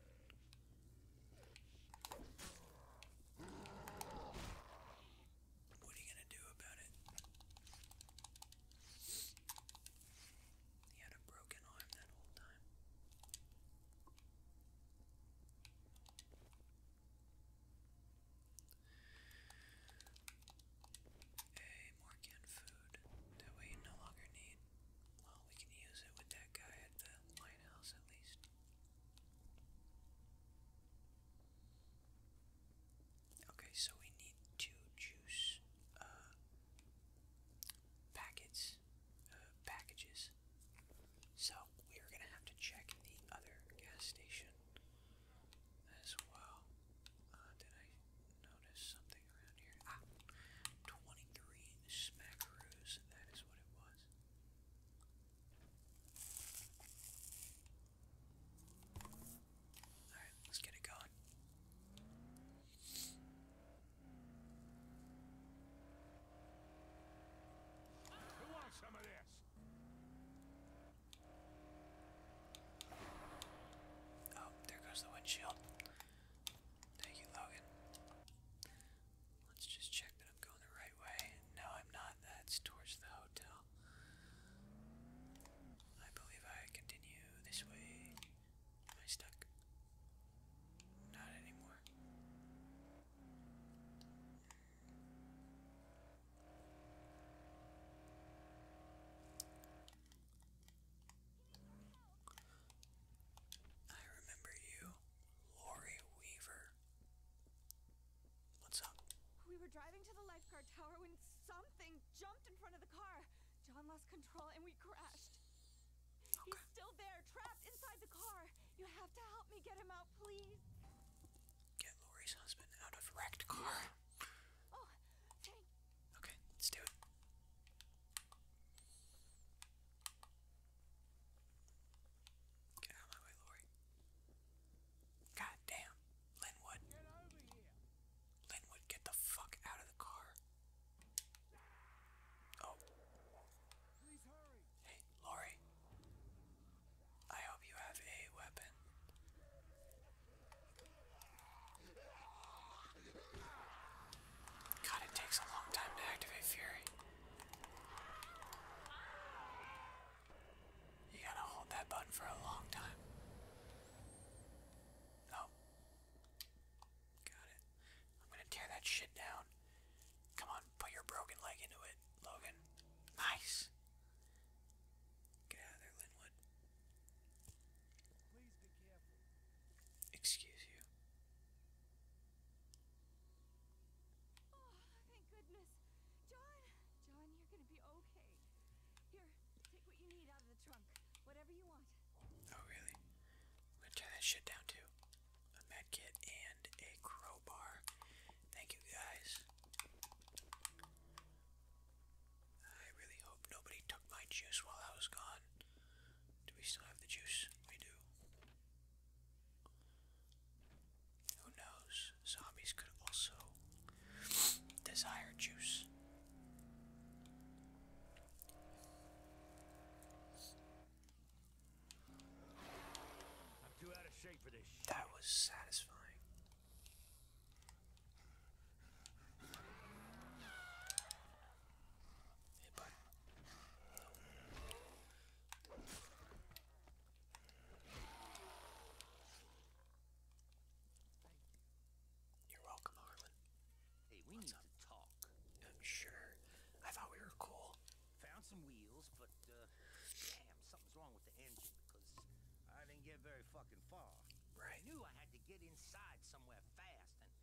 What are you gonna do about it? He had a broken arm that whole time. A more food that we no longer need. Well, we can use it with that guy at the lighthouse at least. Okay, so we need two juice uh, packets, uh, packages. So we are gonna have to check the other gas station as well. Uh, did I notice something around here? Ah, 23 smackaroos. That is what it was. All right, let's get it going. Who wants some of this? Oh, there goes the windshield. Thank you, Logan. Let's just check that I'm going the right way. No, I'm not. That's towards the hotel. I believe I continue this way. Am stuck? Not anymore. I remember you, Lori Weaver. What's up? We were driving to the lifeguard tower when something jumped in front of the car. John lost control and we crashed. He's still there, trapped inside the car. You have to help me get him out, please. Get Lori's husband out of wrecked car. Okay, let's do it. Get out of my way, Lori. God damn. Linwood. Linwood, get the fuck out of the car. Oh. Hey, Lori. I hope you have a weapon. God, it takes a long time to activate Fury. You gotta hold that button for a long time. Oh. Got it. I'm gonna tear that shit down. Come on, put your broken leg into it, Logan. Nice. Get out of there, Linwood. Please be careful. Excuse you. Oh, thank goodness. John, John, you're gonna be okay. Here, take what you need out of the trunk. Whatever you want. Oh, really? I'm gonna try that shit down too. A medkit and a crowbar Thank you guys. I really hope nobody took my juice while I was gone. Do we still have the juice? We do. Who knows? Zombies could also desire juice. I'm too out of shape for this. That was satisfying. Hey, You're welcome, Harlan. Hey, we need to talk. Uh, sure. I thought we were cool. Found some wheels, but uh, damn, something's wrong with the engine I didn't get very fucking far. Right. I knew I had to get inside somewhere fast and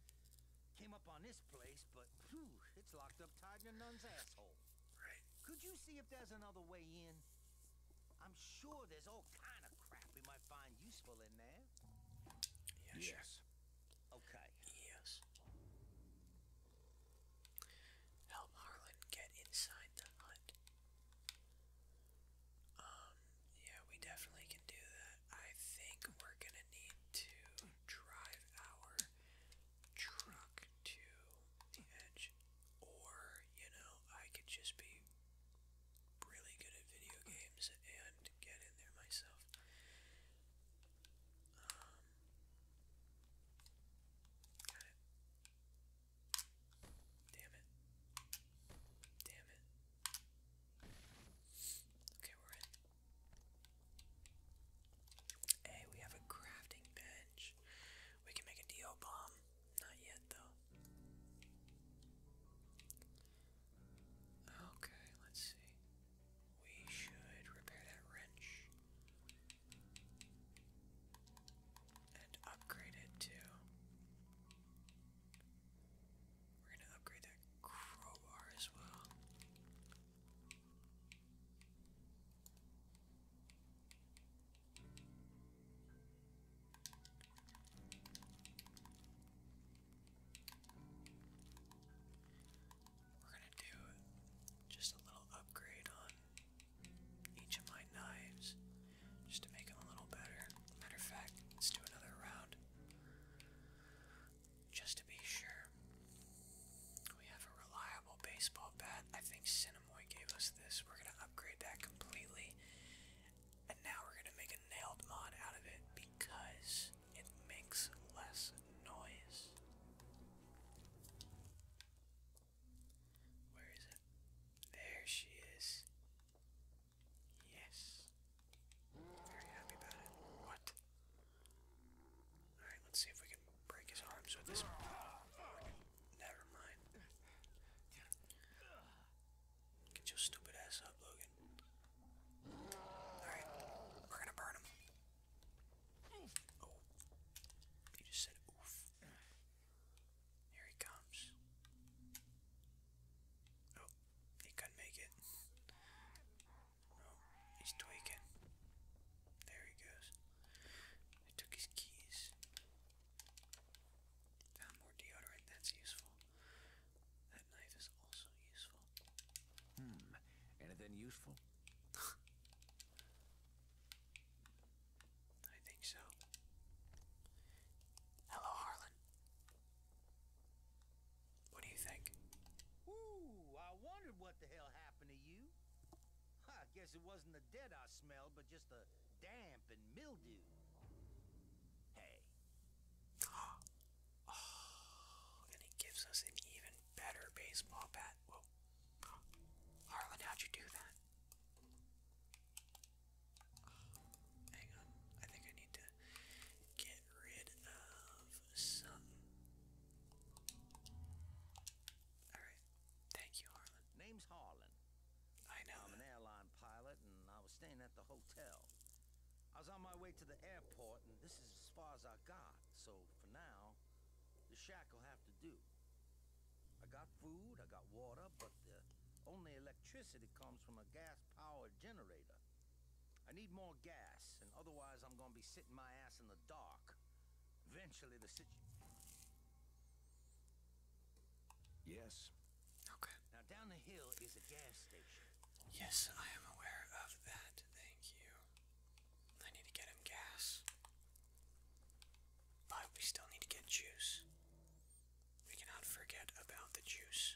came up on this place, but whew, it's locked up tight in a nun's asshole. Right. Could you see if there's another way in? I'm sure there's all kind of crap we might find useful in there. yes. Okay. Yes. Help Harlan get inside the hut. Um, yeah, we definitely can do that. I think we're gonna need to drive our truck to the edge. Or, you know, I could just be really good at video games and get in there myself. Um, Damn it. Damn it. Okay, we're in. Hey, we have a crafting bench. We can make a DO bomb. Not yet, though. Okay, let's see. We should repair that wrench and upgrade it too. We're gonna upgrade that crowbar as well. We're gonna do just a little upgrade on each of my knives just to make them a little better. Matter of fact, let's do another round just to be sure. We have a reliable baseball bat. I think Cinemoy gave us this. We're going to upgrade that completely. And now we're going to make a nailed mod out of it because it makes less noise. Where is it? There she is. Yes. Very happy about it. What? Alright, let's see if we can break his arms with this. Never mind. Get your stupid ass up, Logan. Alright, we're gonna burn him. Oh. You just said oof. Here he comes. Oh, he couldn't make it. Oh, he's tweaking. There he goes. I took his keys. Found more deodorant, that's useful. That knife is also useful. Hmm, anything useful? I think so. Hello, Harlan. What do you think? Ooh, I wondered what the hell happened to you. I guess it wasn't the dead I smelled, but just the damp and mildew. Hey. oh, and it gives us an even better baseball bat. Whoa. Harlan, how'd you do that? Hang on, I think I need to get rid of something. Alright, thank you, Harlan. Name's Harlan. I know. I'm an airline pilot, and I was staying at the hotel. I was on my way to the airport, and this is as far as I got, so for now, the shack will have to do. I got food, I got water, but the only electricity comes from a gas-powered generator. I need more gas, and otherwise I'm gonna be sitting my ass in the dark. Eventually the situ- Yes. Okay. Now down the hill is a gas station. Yes, I am aware of that. Thank you. I need to get him gas. But we still need to get juice. We cannot forget about the juice.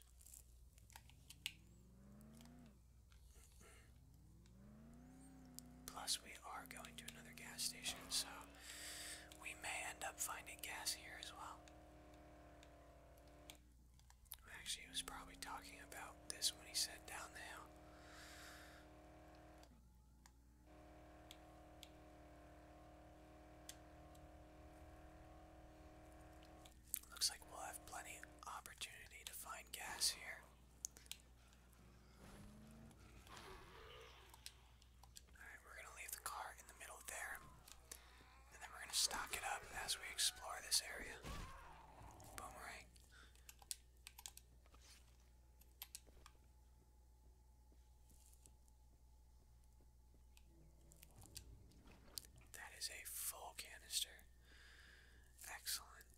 Plus, we are going to another gas station, so we may end up finding gas here as well. Actually, he was probably talking about this when he said down the hill. Looks like we'll have plenty opportunity to find gas here. Alright, we're gonna leave the car in the middle there. And then we're gonna stock it up as we explore this area. Boomerang. That is a full canister. Excellent.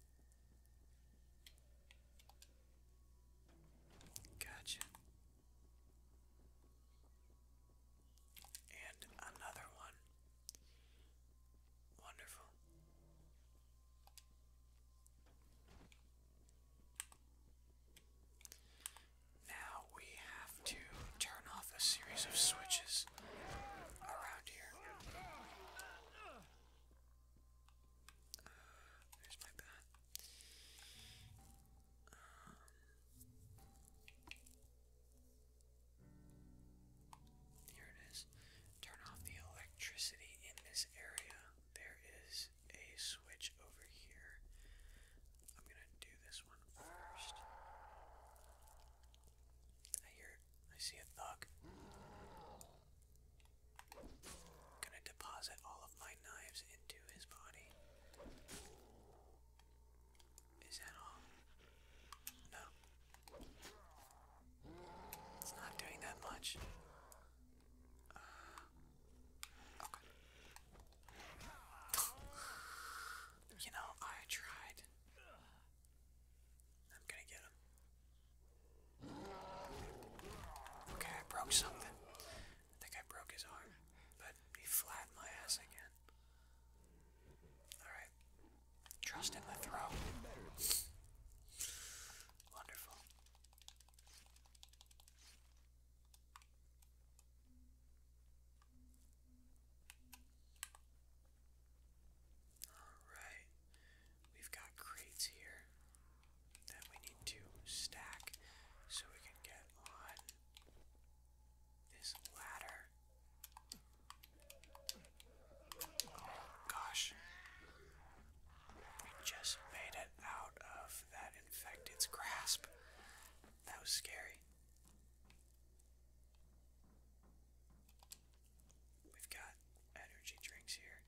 Gotcha. And another one. Wonderful. Now we have to turn off a series of switches around here. there's my bat. Um, here it is. Turn off the electricity in this area. There is a switch over here. I'm gonna do this one first. I hear, I see a thug. I'm gonna deposit all of my knives into his body. Is that all? No. It's not doing that much. Uh, you know, I tried. I'm gonna get him. Okay, I broke something. I think I broke his arm, but he flattened my ass again. Alright. Trust in the throw. Wonderful. Alright, we've got crates here that we need to stack so we can get on this ladder. Oh gosh, we just made it out of that infected's grasp. That was scary. We've got energy drinks here.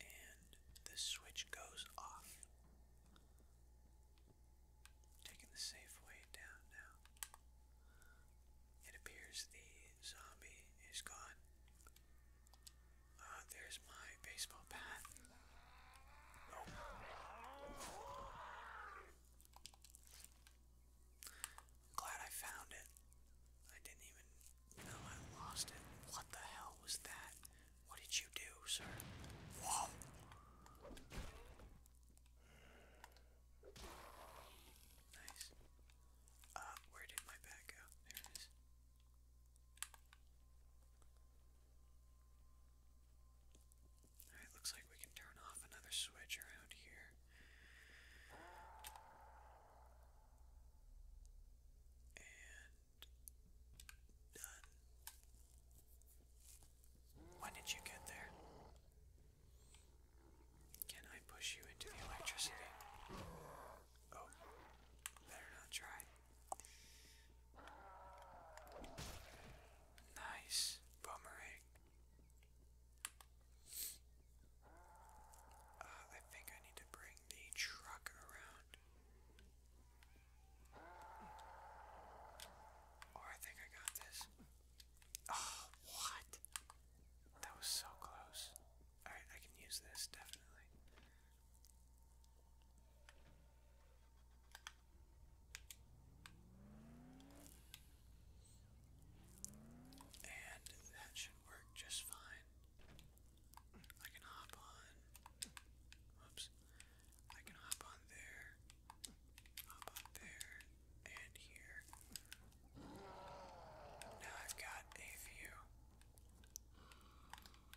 And the switch goes off. Taking the safe way down now. It appears the zombie is gone. Uh, there's my baseball bat. Glad I found it. I didn't even know I lost it. What the hell was that? What did you do, sir? Whoa! Nice. Uh, where did my bat go? There it is. Alright, looks like we can turn off another switch around here. And done. When did you get there? Can I push you into the electricity? Oh, better not try. Nice boomerang. Eh? Uh, I think I need to bring the truck around. Or oh, I think I got this. Oh, what? That was so close. Alright, I can use this, definitely. And that should work just fine. I can hop on. Whoops. I can hop on there. Hop on there. And here. Now I've got a view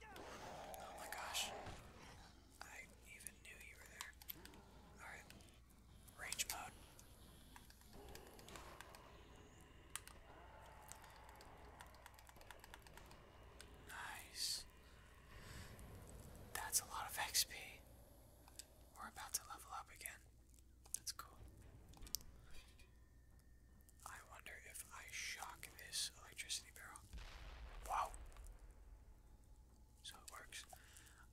Oh my gosh. I even knew you were there. Alright. Range mode. Nice. That's a lot of XP. We're about to level up again. That's cool. I wonder if I shock this electricity barrel. Wow! So it works.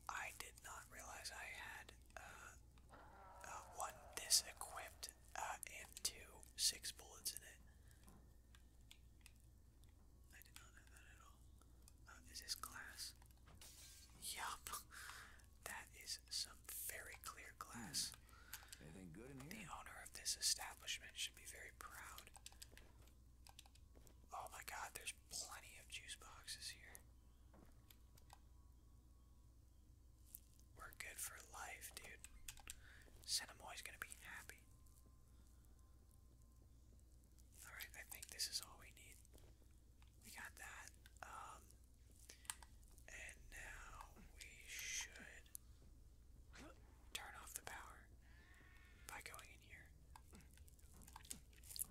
I did not realize I had uh, uh, one this equipped uh, and two six bullets in it. I did not know that at all. is this glass? Yup. That is some very clear glass. The owner of this establishment should be very proud. Oh my god, there's plenty of juice boxes here. We're good for life, dude. Cinemoy's gonna be happy. Alright, I think this is all we need. We got that. Um, and now we should turn off the power by going in here.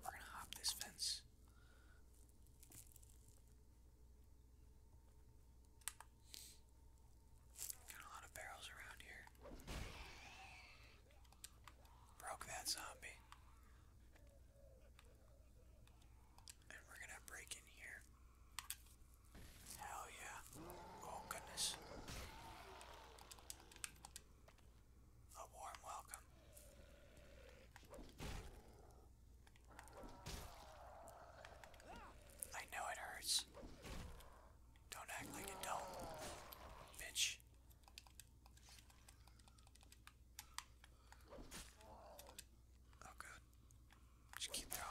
We're gonna hop this fence. Got a lot of barrels around here. Broke that zombie. And we're gonna break in here. Hell yeah. Oh goodness. A warm welcome. I know it hurts. Don't act like it don't, bitch. Oh, good. Just keep throwing.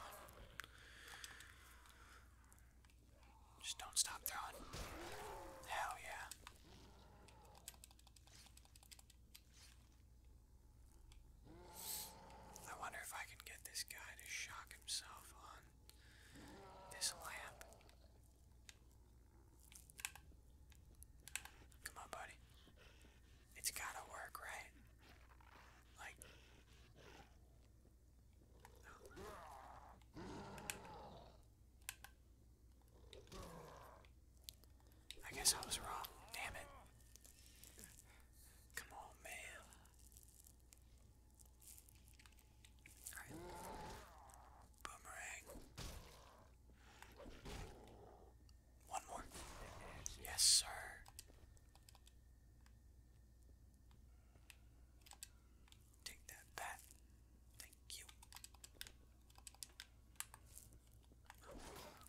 Just don't stop throwing. Hell yeah. I wonder if I can get this guy to shock himself on this lamp. Come on, buddy. It's gotta work, right? Like, I guess I was wrong. Damn it. Come on, man. Alright. Boomerang. One more. Yes, sir. Take that bat. Thank you.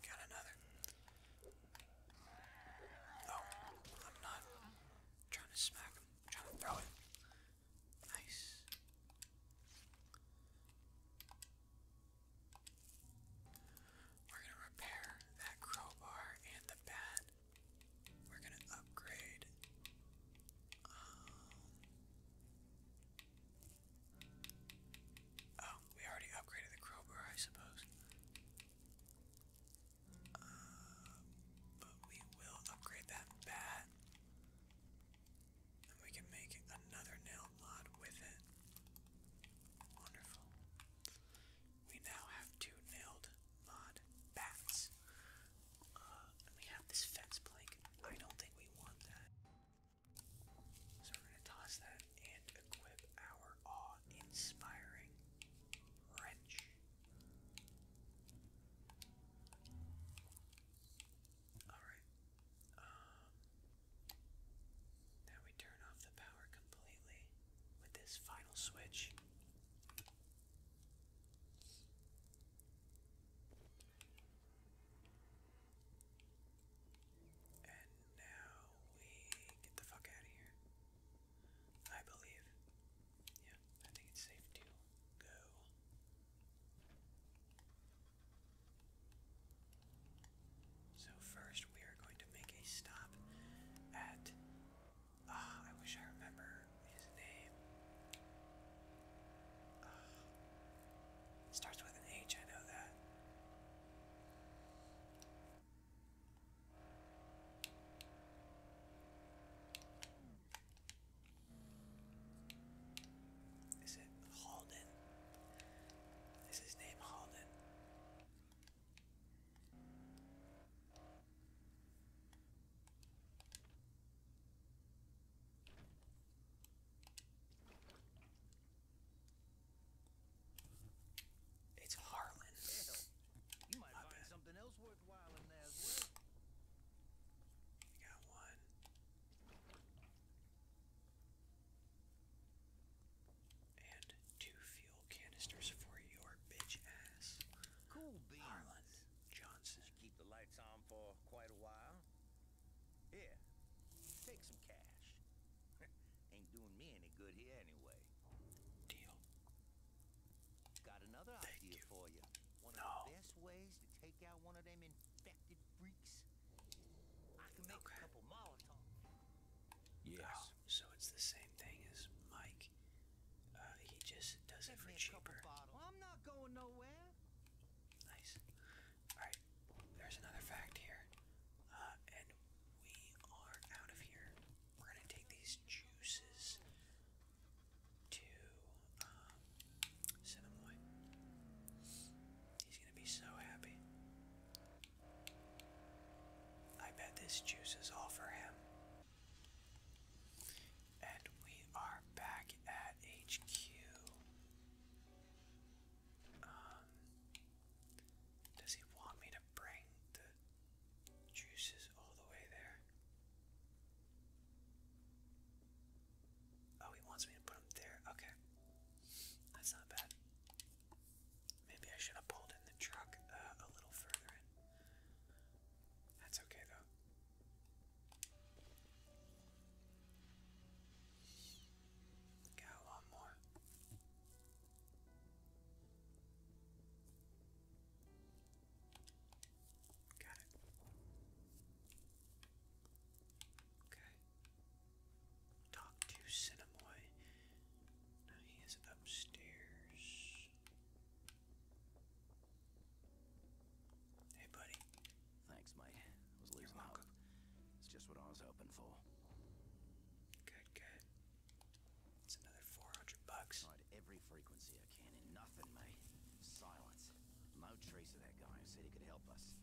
Got another. Oh, I'm not trying to smack him. trying to throw it. Nice. We're gonna repair that crowbar and the bat. We're gonna upgrade. Um, oh, we already upgraded the crowbar, I suppose. Uh, but we will upgrade that bat. And we can make another nail mod with it. Wonderful we now have two nailed mod bats. Uh, and we have this fence plank. I don't think we want that. So we're going to toss that and equip our awe-inspiring wrench. Alright. Um, now we turn off the power completely with this final switch. And now we get the fuck out of here. I believe. Yeah, I think it's safe to go. So, first we are going to make a stop at Ah, I wish I remember his name. Ah. starts with an H, I know that. Is it Halden? Is his name Halden? It's Harlan. you might find something else worthwhile in there as well. We got one. And two fuel fuel canisters for your bitch ass. Cool beans. Harlan Johnson. Keep the lights on for quite a while. Here, take some cash. Ain't doing me any good here anyway. Deal. Got another idea for you. One of the best ways to take out one of them infected freaks. I can make a couple Molotov. Yes. so it's the same thing as Mike. Uh, he just does it for cheaper. Well, I'm not going nowhere. Nice. Alright, there's another fact here. Uh, and we are out of here. We're gonna take these juices to uh, Cinemoy. He's gonna be so happy. I bet this juice is all for him. And we are back at HQ. Um, does he want me to bring the juices all the way there? Oh, he wants me to put them there. Okay. That's not bad. Maybe I should have pulled in the truck uh, a little further in. That's okay though. Got a lot more. Got it. Okay. Talk to Cinemoy. he is upstairs. Hey, buddy. Thanks, mate. I was losing hope. It's just what I was hoping for. Good, good. It's another 400 bucks. Tried every frequency I can and nothing, mate. Silence. No trace of that guy who said he could help us.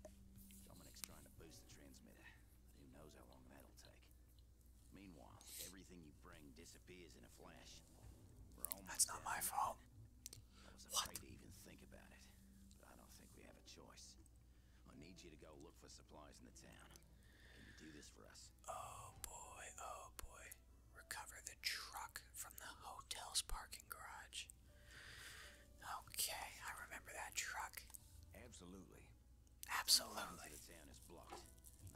Dominic's trying to boost the transmitter, who knows how long that'll take. Meanwhile, everything you bring disappears in a flash. That's not my fault. I was afraid what? to even think about it, but I don't think we have a choice. I need you to go look for supplies in the town. Can you do this for us? Oh boy, oh boy. Recover the truck from the hotel's parking garage. Okay, I remember that truck. Absolutely. Absolutely.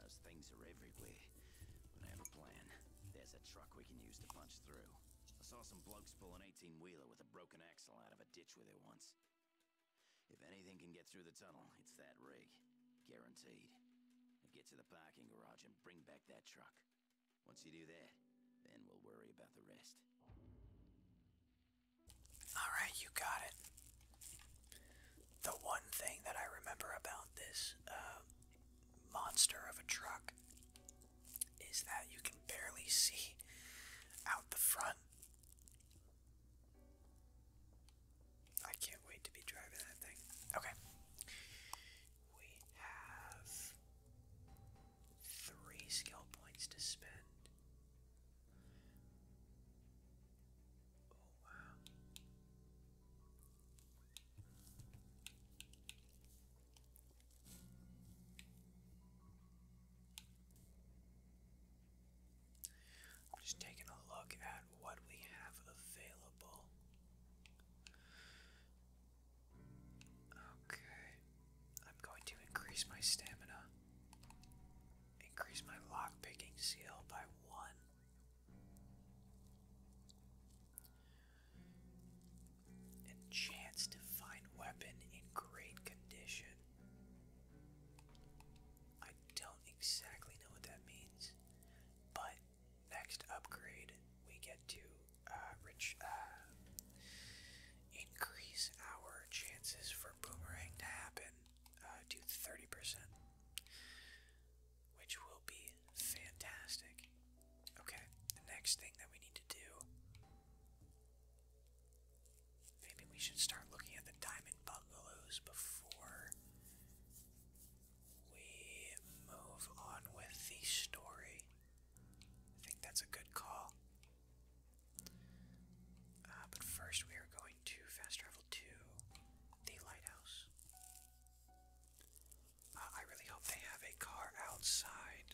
Those things are everywhere. I have a plan. There's a truck we can use to punch through. I saw some blokes pull an 18-wheeler with a broken axle out of a ditch with it once. If anything can get through the tunnel, it's that rig. Guaranteed. get to the parking garage and bring back that truck. Once you do that, then we'll worry about the rest. Alright, you got it the one thing that I remember about this uh, monster of a truck is that you can barely see out the front. I can't wait to be driving that thing. Okay. We have three skill points to spend. Oh wow. I'm just taking a look at what we have available. Okay. I'm going to increase my stamina. Increase my lock picking seal by one. And chance to find weapon in great condition. I don't exactly know what that means, but next upgrade we get to uh, uh, increase our chances for boomerang to happen uh, to 30% which will be fantastic. Okay, the next thing that we need to do. Maybe we should start looking at the diamond bungalows before we move on with the story. I think that's a good call. Uh, but first, we are going to fast travel to the lighthouse. I really hope they have a car outside.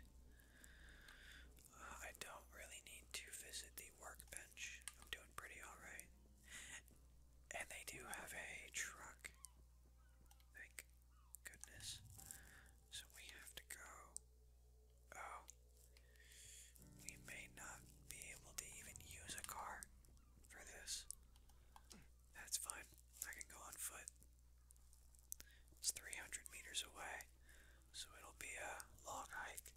Uh, I don't really need to visit the workbench. I'm doing pretty alright. And they do have a truck. Thank goodness. So we have to go. Oh. We may not be able to even use a car for this. That's fine. I can go on foot. It's 300 meters away, so it'll be a long hike.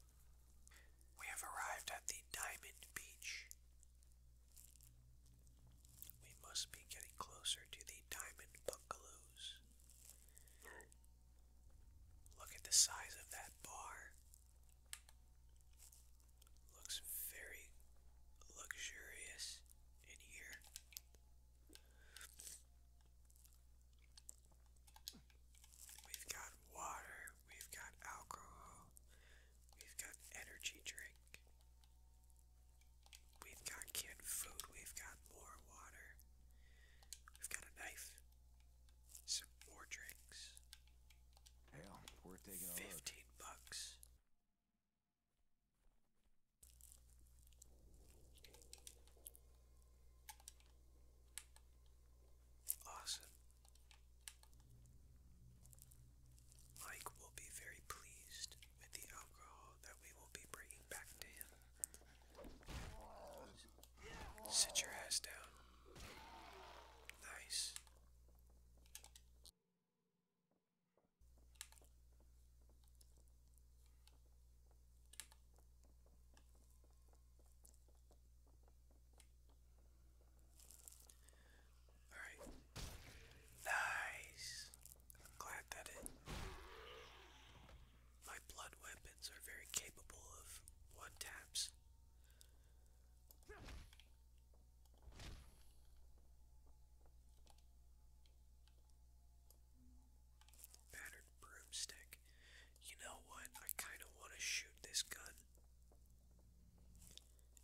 We have arrived at the Diamond Beach. We must be getting closer to the Diamond Bungalows. Look at the size of that bar. Looks very luxurious in here. We've got water, we've got alcohol, we've got energy drink, we've got canned food, we've got more water, we've got a knife, some more drinks. Hell, we're taking a 15 bucks. Awesome. Mike will be very pleased with the alcohol that we will be bringing back to him. Sit your ass down. Nice. All right. Nice. glad that it. My blood weapons are very capable of one taps. Battered broomstick. You know what? I kind of want to shoot this gun.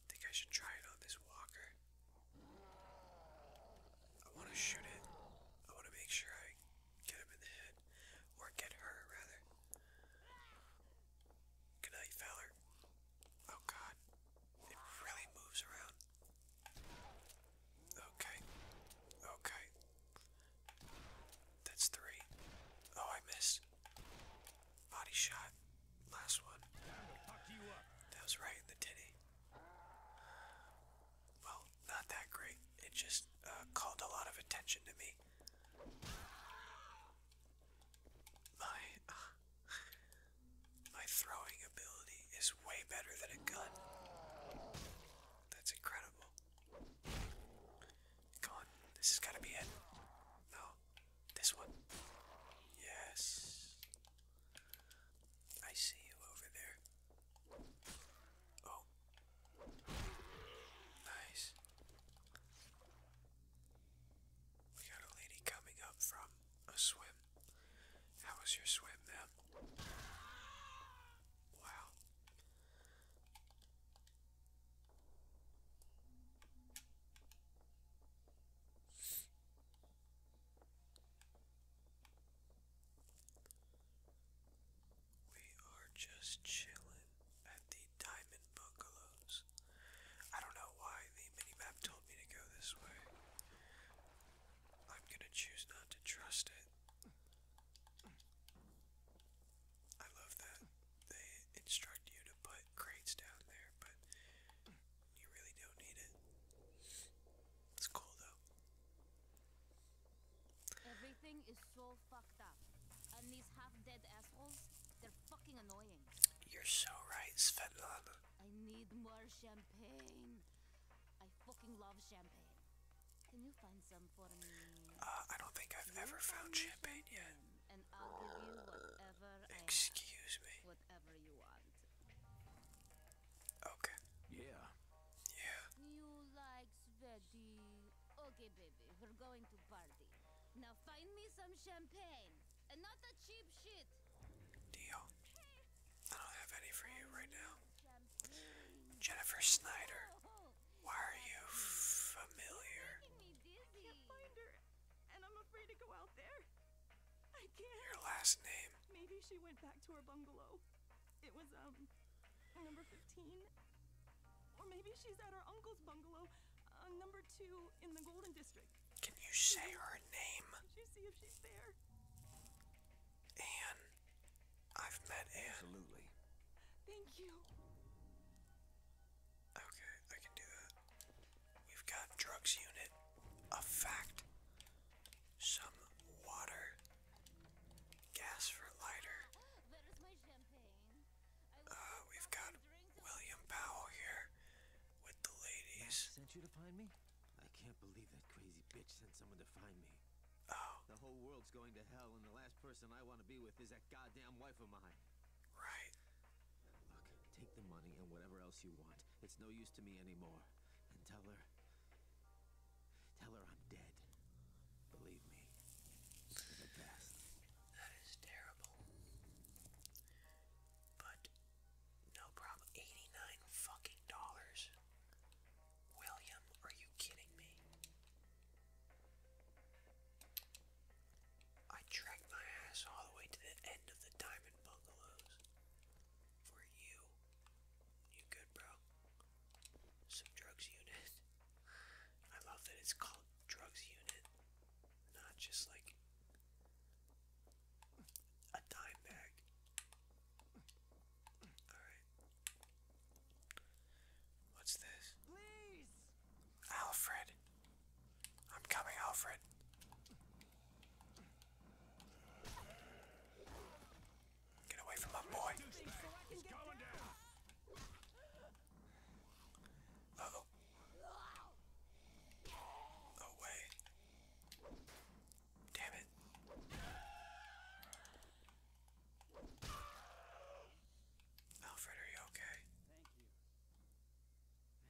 think I should try it on this walker. I want to shoot it. I want to make sure I get him in the head. Or get her, rather. Good night, Fowler. Oh god. It really moves around. Okay. Okay. That's three. Oh, I missed. Body shot. Last one. That was right in the titty. Well, not that great. It just uh, called a lot of attention to me. My. Uh, my throwing ability is way better than a gun. That's incredible. Come on, this has got to be it. No, this one. Yes. I see you over there. Oh. Nice. We got a lady coming up from a swim. How was your swim, man? Wow. We are just chilling at the Diamond Bungalows. I don't know why the minimap told me to go this way. I'm gonna choose not to trust it. I love that they instruct you to put crates down there, but you really don't need it. It's cool though. Everything is so fucked up. And these half dead assholes, they're fucking annoying. You're so right, Svetlana. I need more champagne. I fucking love champagne. Can you find some for me? Uh, I don't think I've ever found champagne, yet. Excuse me. Okay. Yeah. Yeah. You like sweaty. Okay, baby, we're going to party. Now find me some champagne. Deal. I don't have any for you right now. Jennifer Snyder. Why are you familiar? Your last name. Maybe she went back to her bungalow. It was um number 15. Or maybe she's at her uncle's bungalow, uh, number 2 in the Golden District. Can you say her name? Did you see if she's there? Anne. I've met Anne. Absolutely. Thank you. Okay, I can do that. We've got drugs unit, a fact, some water, gas for lighter. Uh, we've got William Powell here with the ladies. Sent you to find me. I can't believe that crazy bitch sent someone to find me. Oh. The whole world's going to hell, and the last person I want to be with is that goddamn wife of mine. Right. Look, take the money and whatever else you want. It's no use to me anymore. And tell her. Tell her I'm dead. Believe me. That is terrible. But no problem. Eighty-nine fucking dollars. William, are you kidding me? I tracked my ass all the way to the end of the diamond bungalows. For you. You good, bro? Some drugs unit. I love that it's called drugs unit. Not just like a dime bag. Alright. What's this? Please! Alfred! I'm coming, Alfred. Get away from my boy. Uh oh. Damn it. Alfred, are you okay?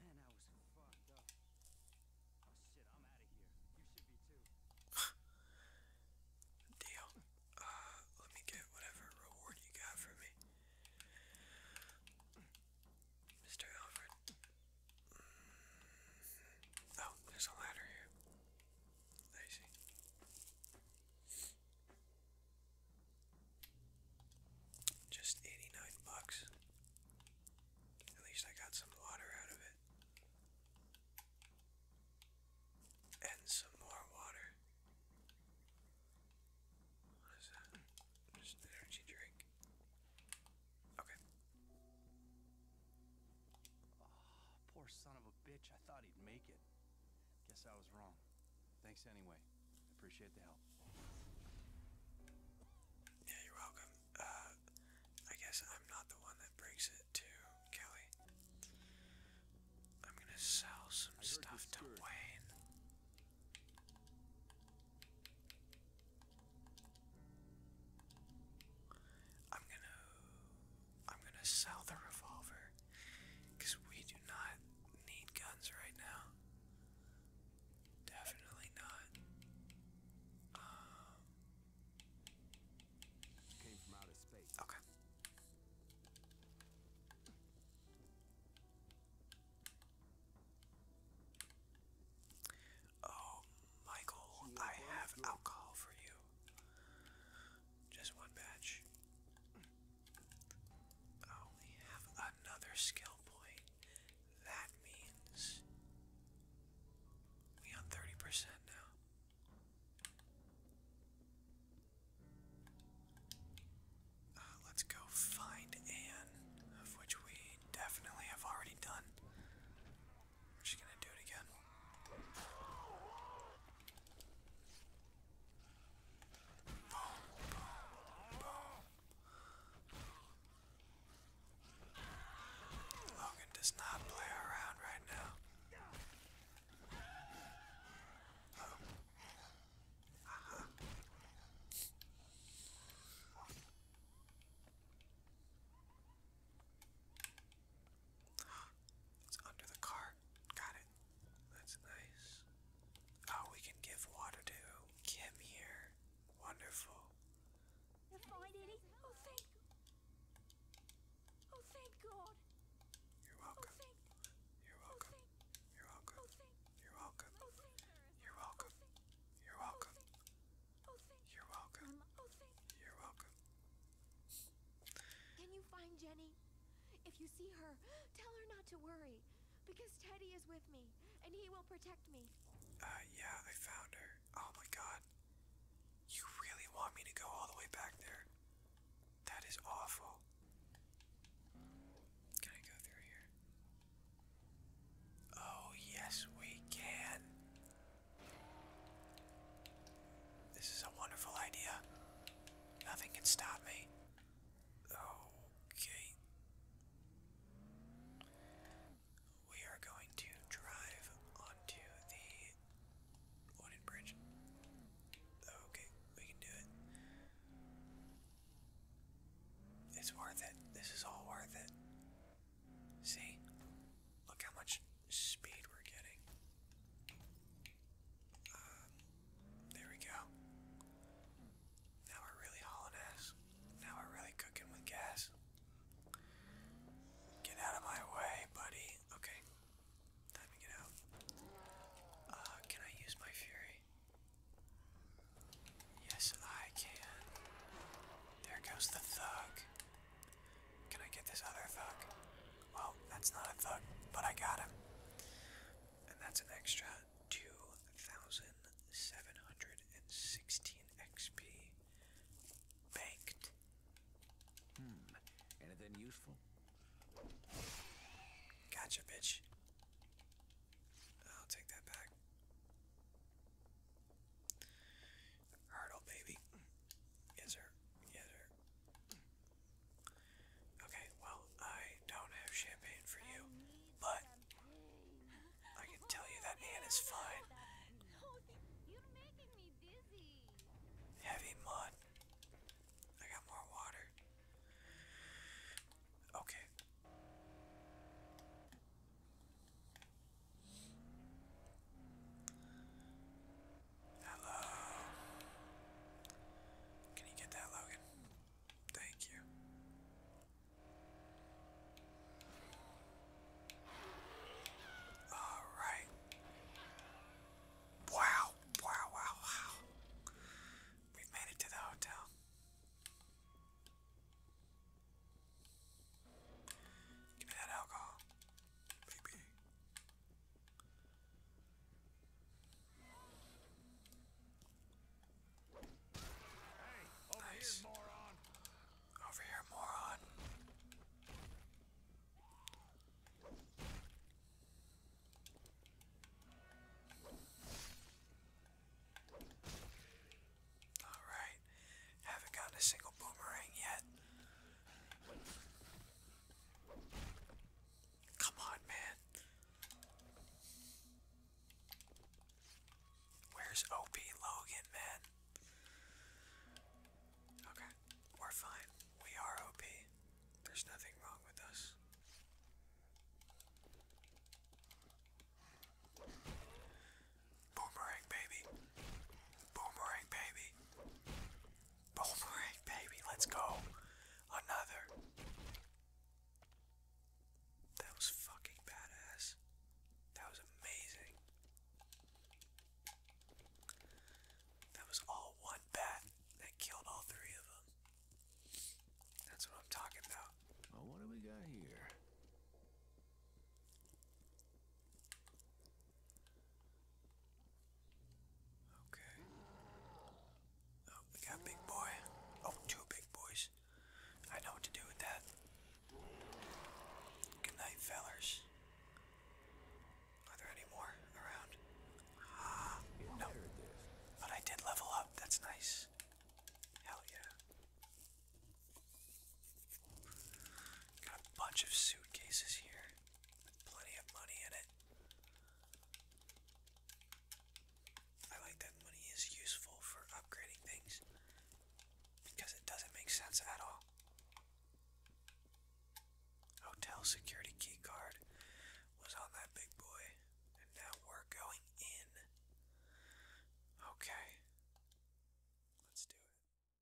Thank you. Man, I was fucked up. Oh shit, I'm out of here. You should be too. Deal. Uh, let me get whatever reward you got for me. Mr. Alfred. Oh, there's a ladder here. I see. Just 89 bucks. At least I got some water out of it. And some more water. What is that? Just an energy drink. Okay. Ah, poor son of a bitch. I thought he'd make it. Guess I was wrong. Thanks anyway. appreciate the help. Yeah, you're welcome. Uh, I guess I'm not the one that brings it to Kelly. I'm gonna sell some stuff to Wayne. I'm gonna I'm gonna sell the revolver because we do not need guns right now. Definitely not. Came from um, outer space. Okay. Oh, Michael, I have alcohol for you. Just one batch. I have another skill point. That means we on 30% now. Uh, let's go find Anne, of which we definitely have already done. She's gonna do it again. Boom, boom, boom. Logan does not play around right now. Oh. Uh-huh. It's under the cart. Got it. That's nice. Oh, we can give water to Kim here. Wonderful. Find any? Oh, thank. Oh, thank God. You're oh, welcome. Oh, You're welcome. Oh, You're welcome. You're welcome. You're welcome. You're welcome. Oh, You're welcome. Oh, You're welcome. Can you find Jenny? If you see her, tell her not to worry, because Teddy is with me, and he will protect me. Uh, yeah, I found her. Oh my god. You really want me to go all the way back there? That is awful. Can I go through here? Oh, yes, we can. This is a wonderful idea. Nothing can stop me. Okay. We are going to drive onto the wooden bridge. Okay, we can do it. It's worth it. This is all worth it. See? Look how much speed we're getting. Um, there we go. Now we're really hauling ass. Now we're really cooking with gas. Get out of my way, buddy. Okay. Time to get out. Uh, can I use my fury? Yes, I can. There goes the thug. Can I get this other thug? Well, that's not a thug, but I got him. And that's an extra 2,716 XP banked. Hmm. Anything useful? Gotcha, bitch. I'll take that back. Hurdle, baby. Yes, sir. Yes, sir. Okay, well, I don't have champagne for you, but I can tell you that Anne is fine. Heavy mud. I got more water. Okay. Hello. Can you get that, Logan? Thank you. All right. Wow, wow, wow, wow. We've made it to the hotel. Give me that alcohol, baby. nice. moron. Over here, moron. All right, haven't gotten a single boomerang yet. Come on, man. Where's OP Logan, man? Okay, we're fine. We are OP. There's nothing wrong with us. Boomerang baby. Boomerang baby. Boomerang baby. Let's go. Another. That was fucking badass. That was amazing. That was all one bat that killed all three of them. That's what I'm talking about. Well, what do we got here? Okay. Oh, we got big boy. Oh, two big boys. I know what to do with that. Good night, fellers. Are there any more around? Ah, no. But I did level up. That's nice. Hell yeah. Got a bunch of suitcases here plenty of money in it. I like that money is useful for upgrading things because it doesn't make sense at all. Hotel security key card was on that big boy, and now we're going in. Okay, let's do it.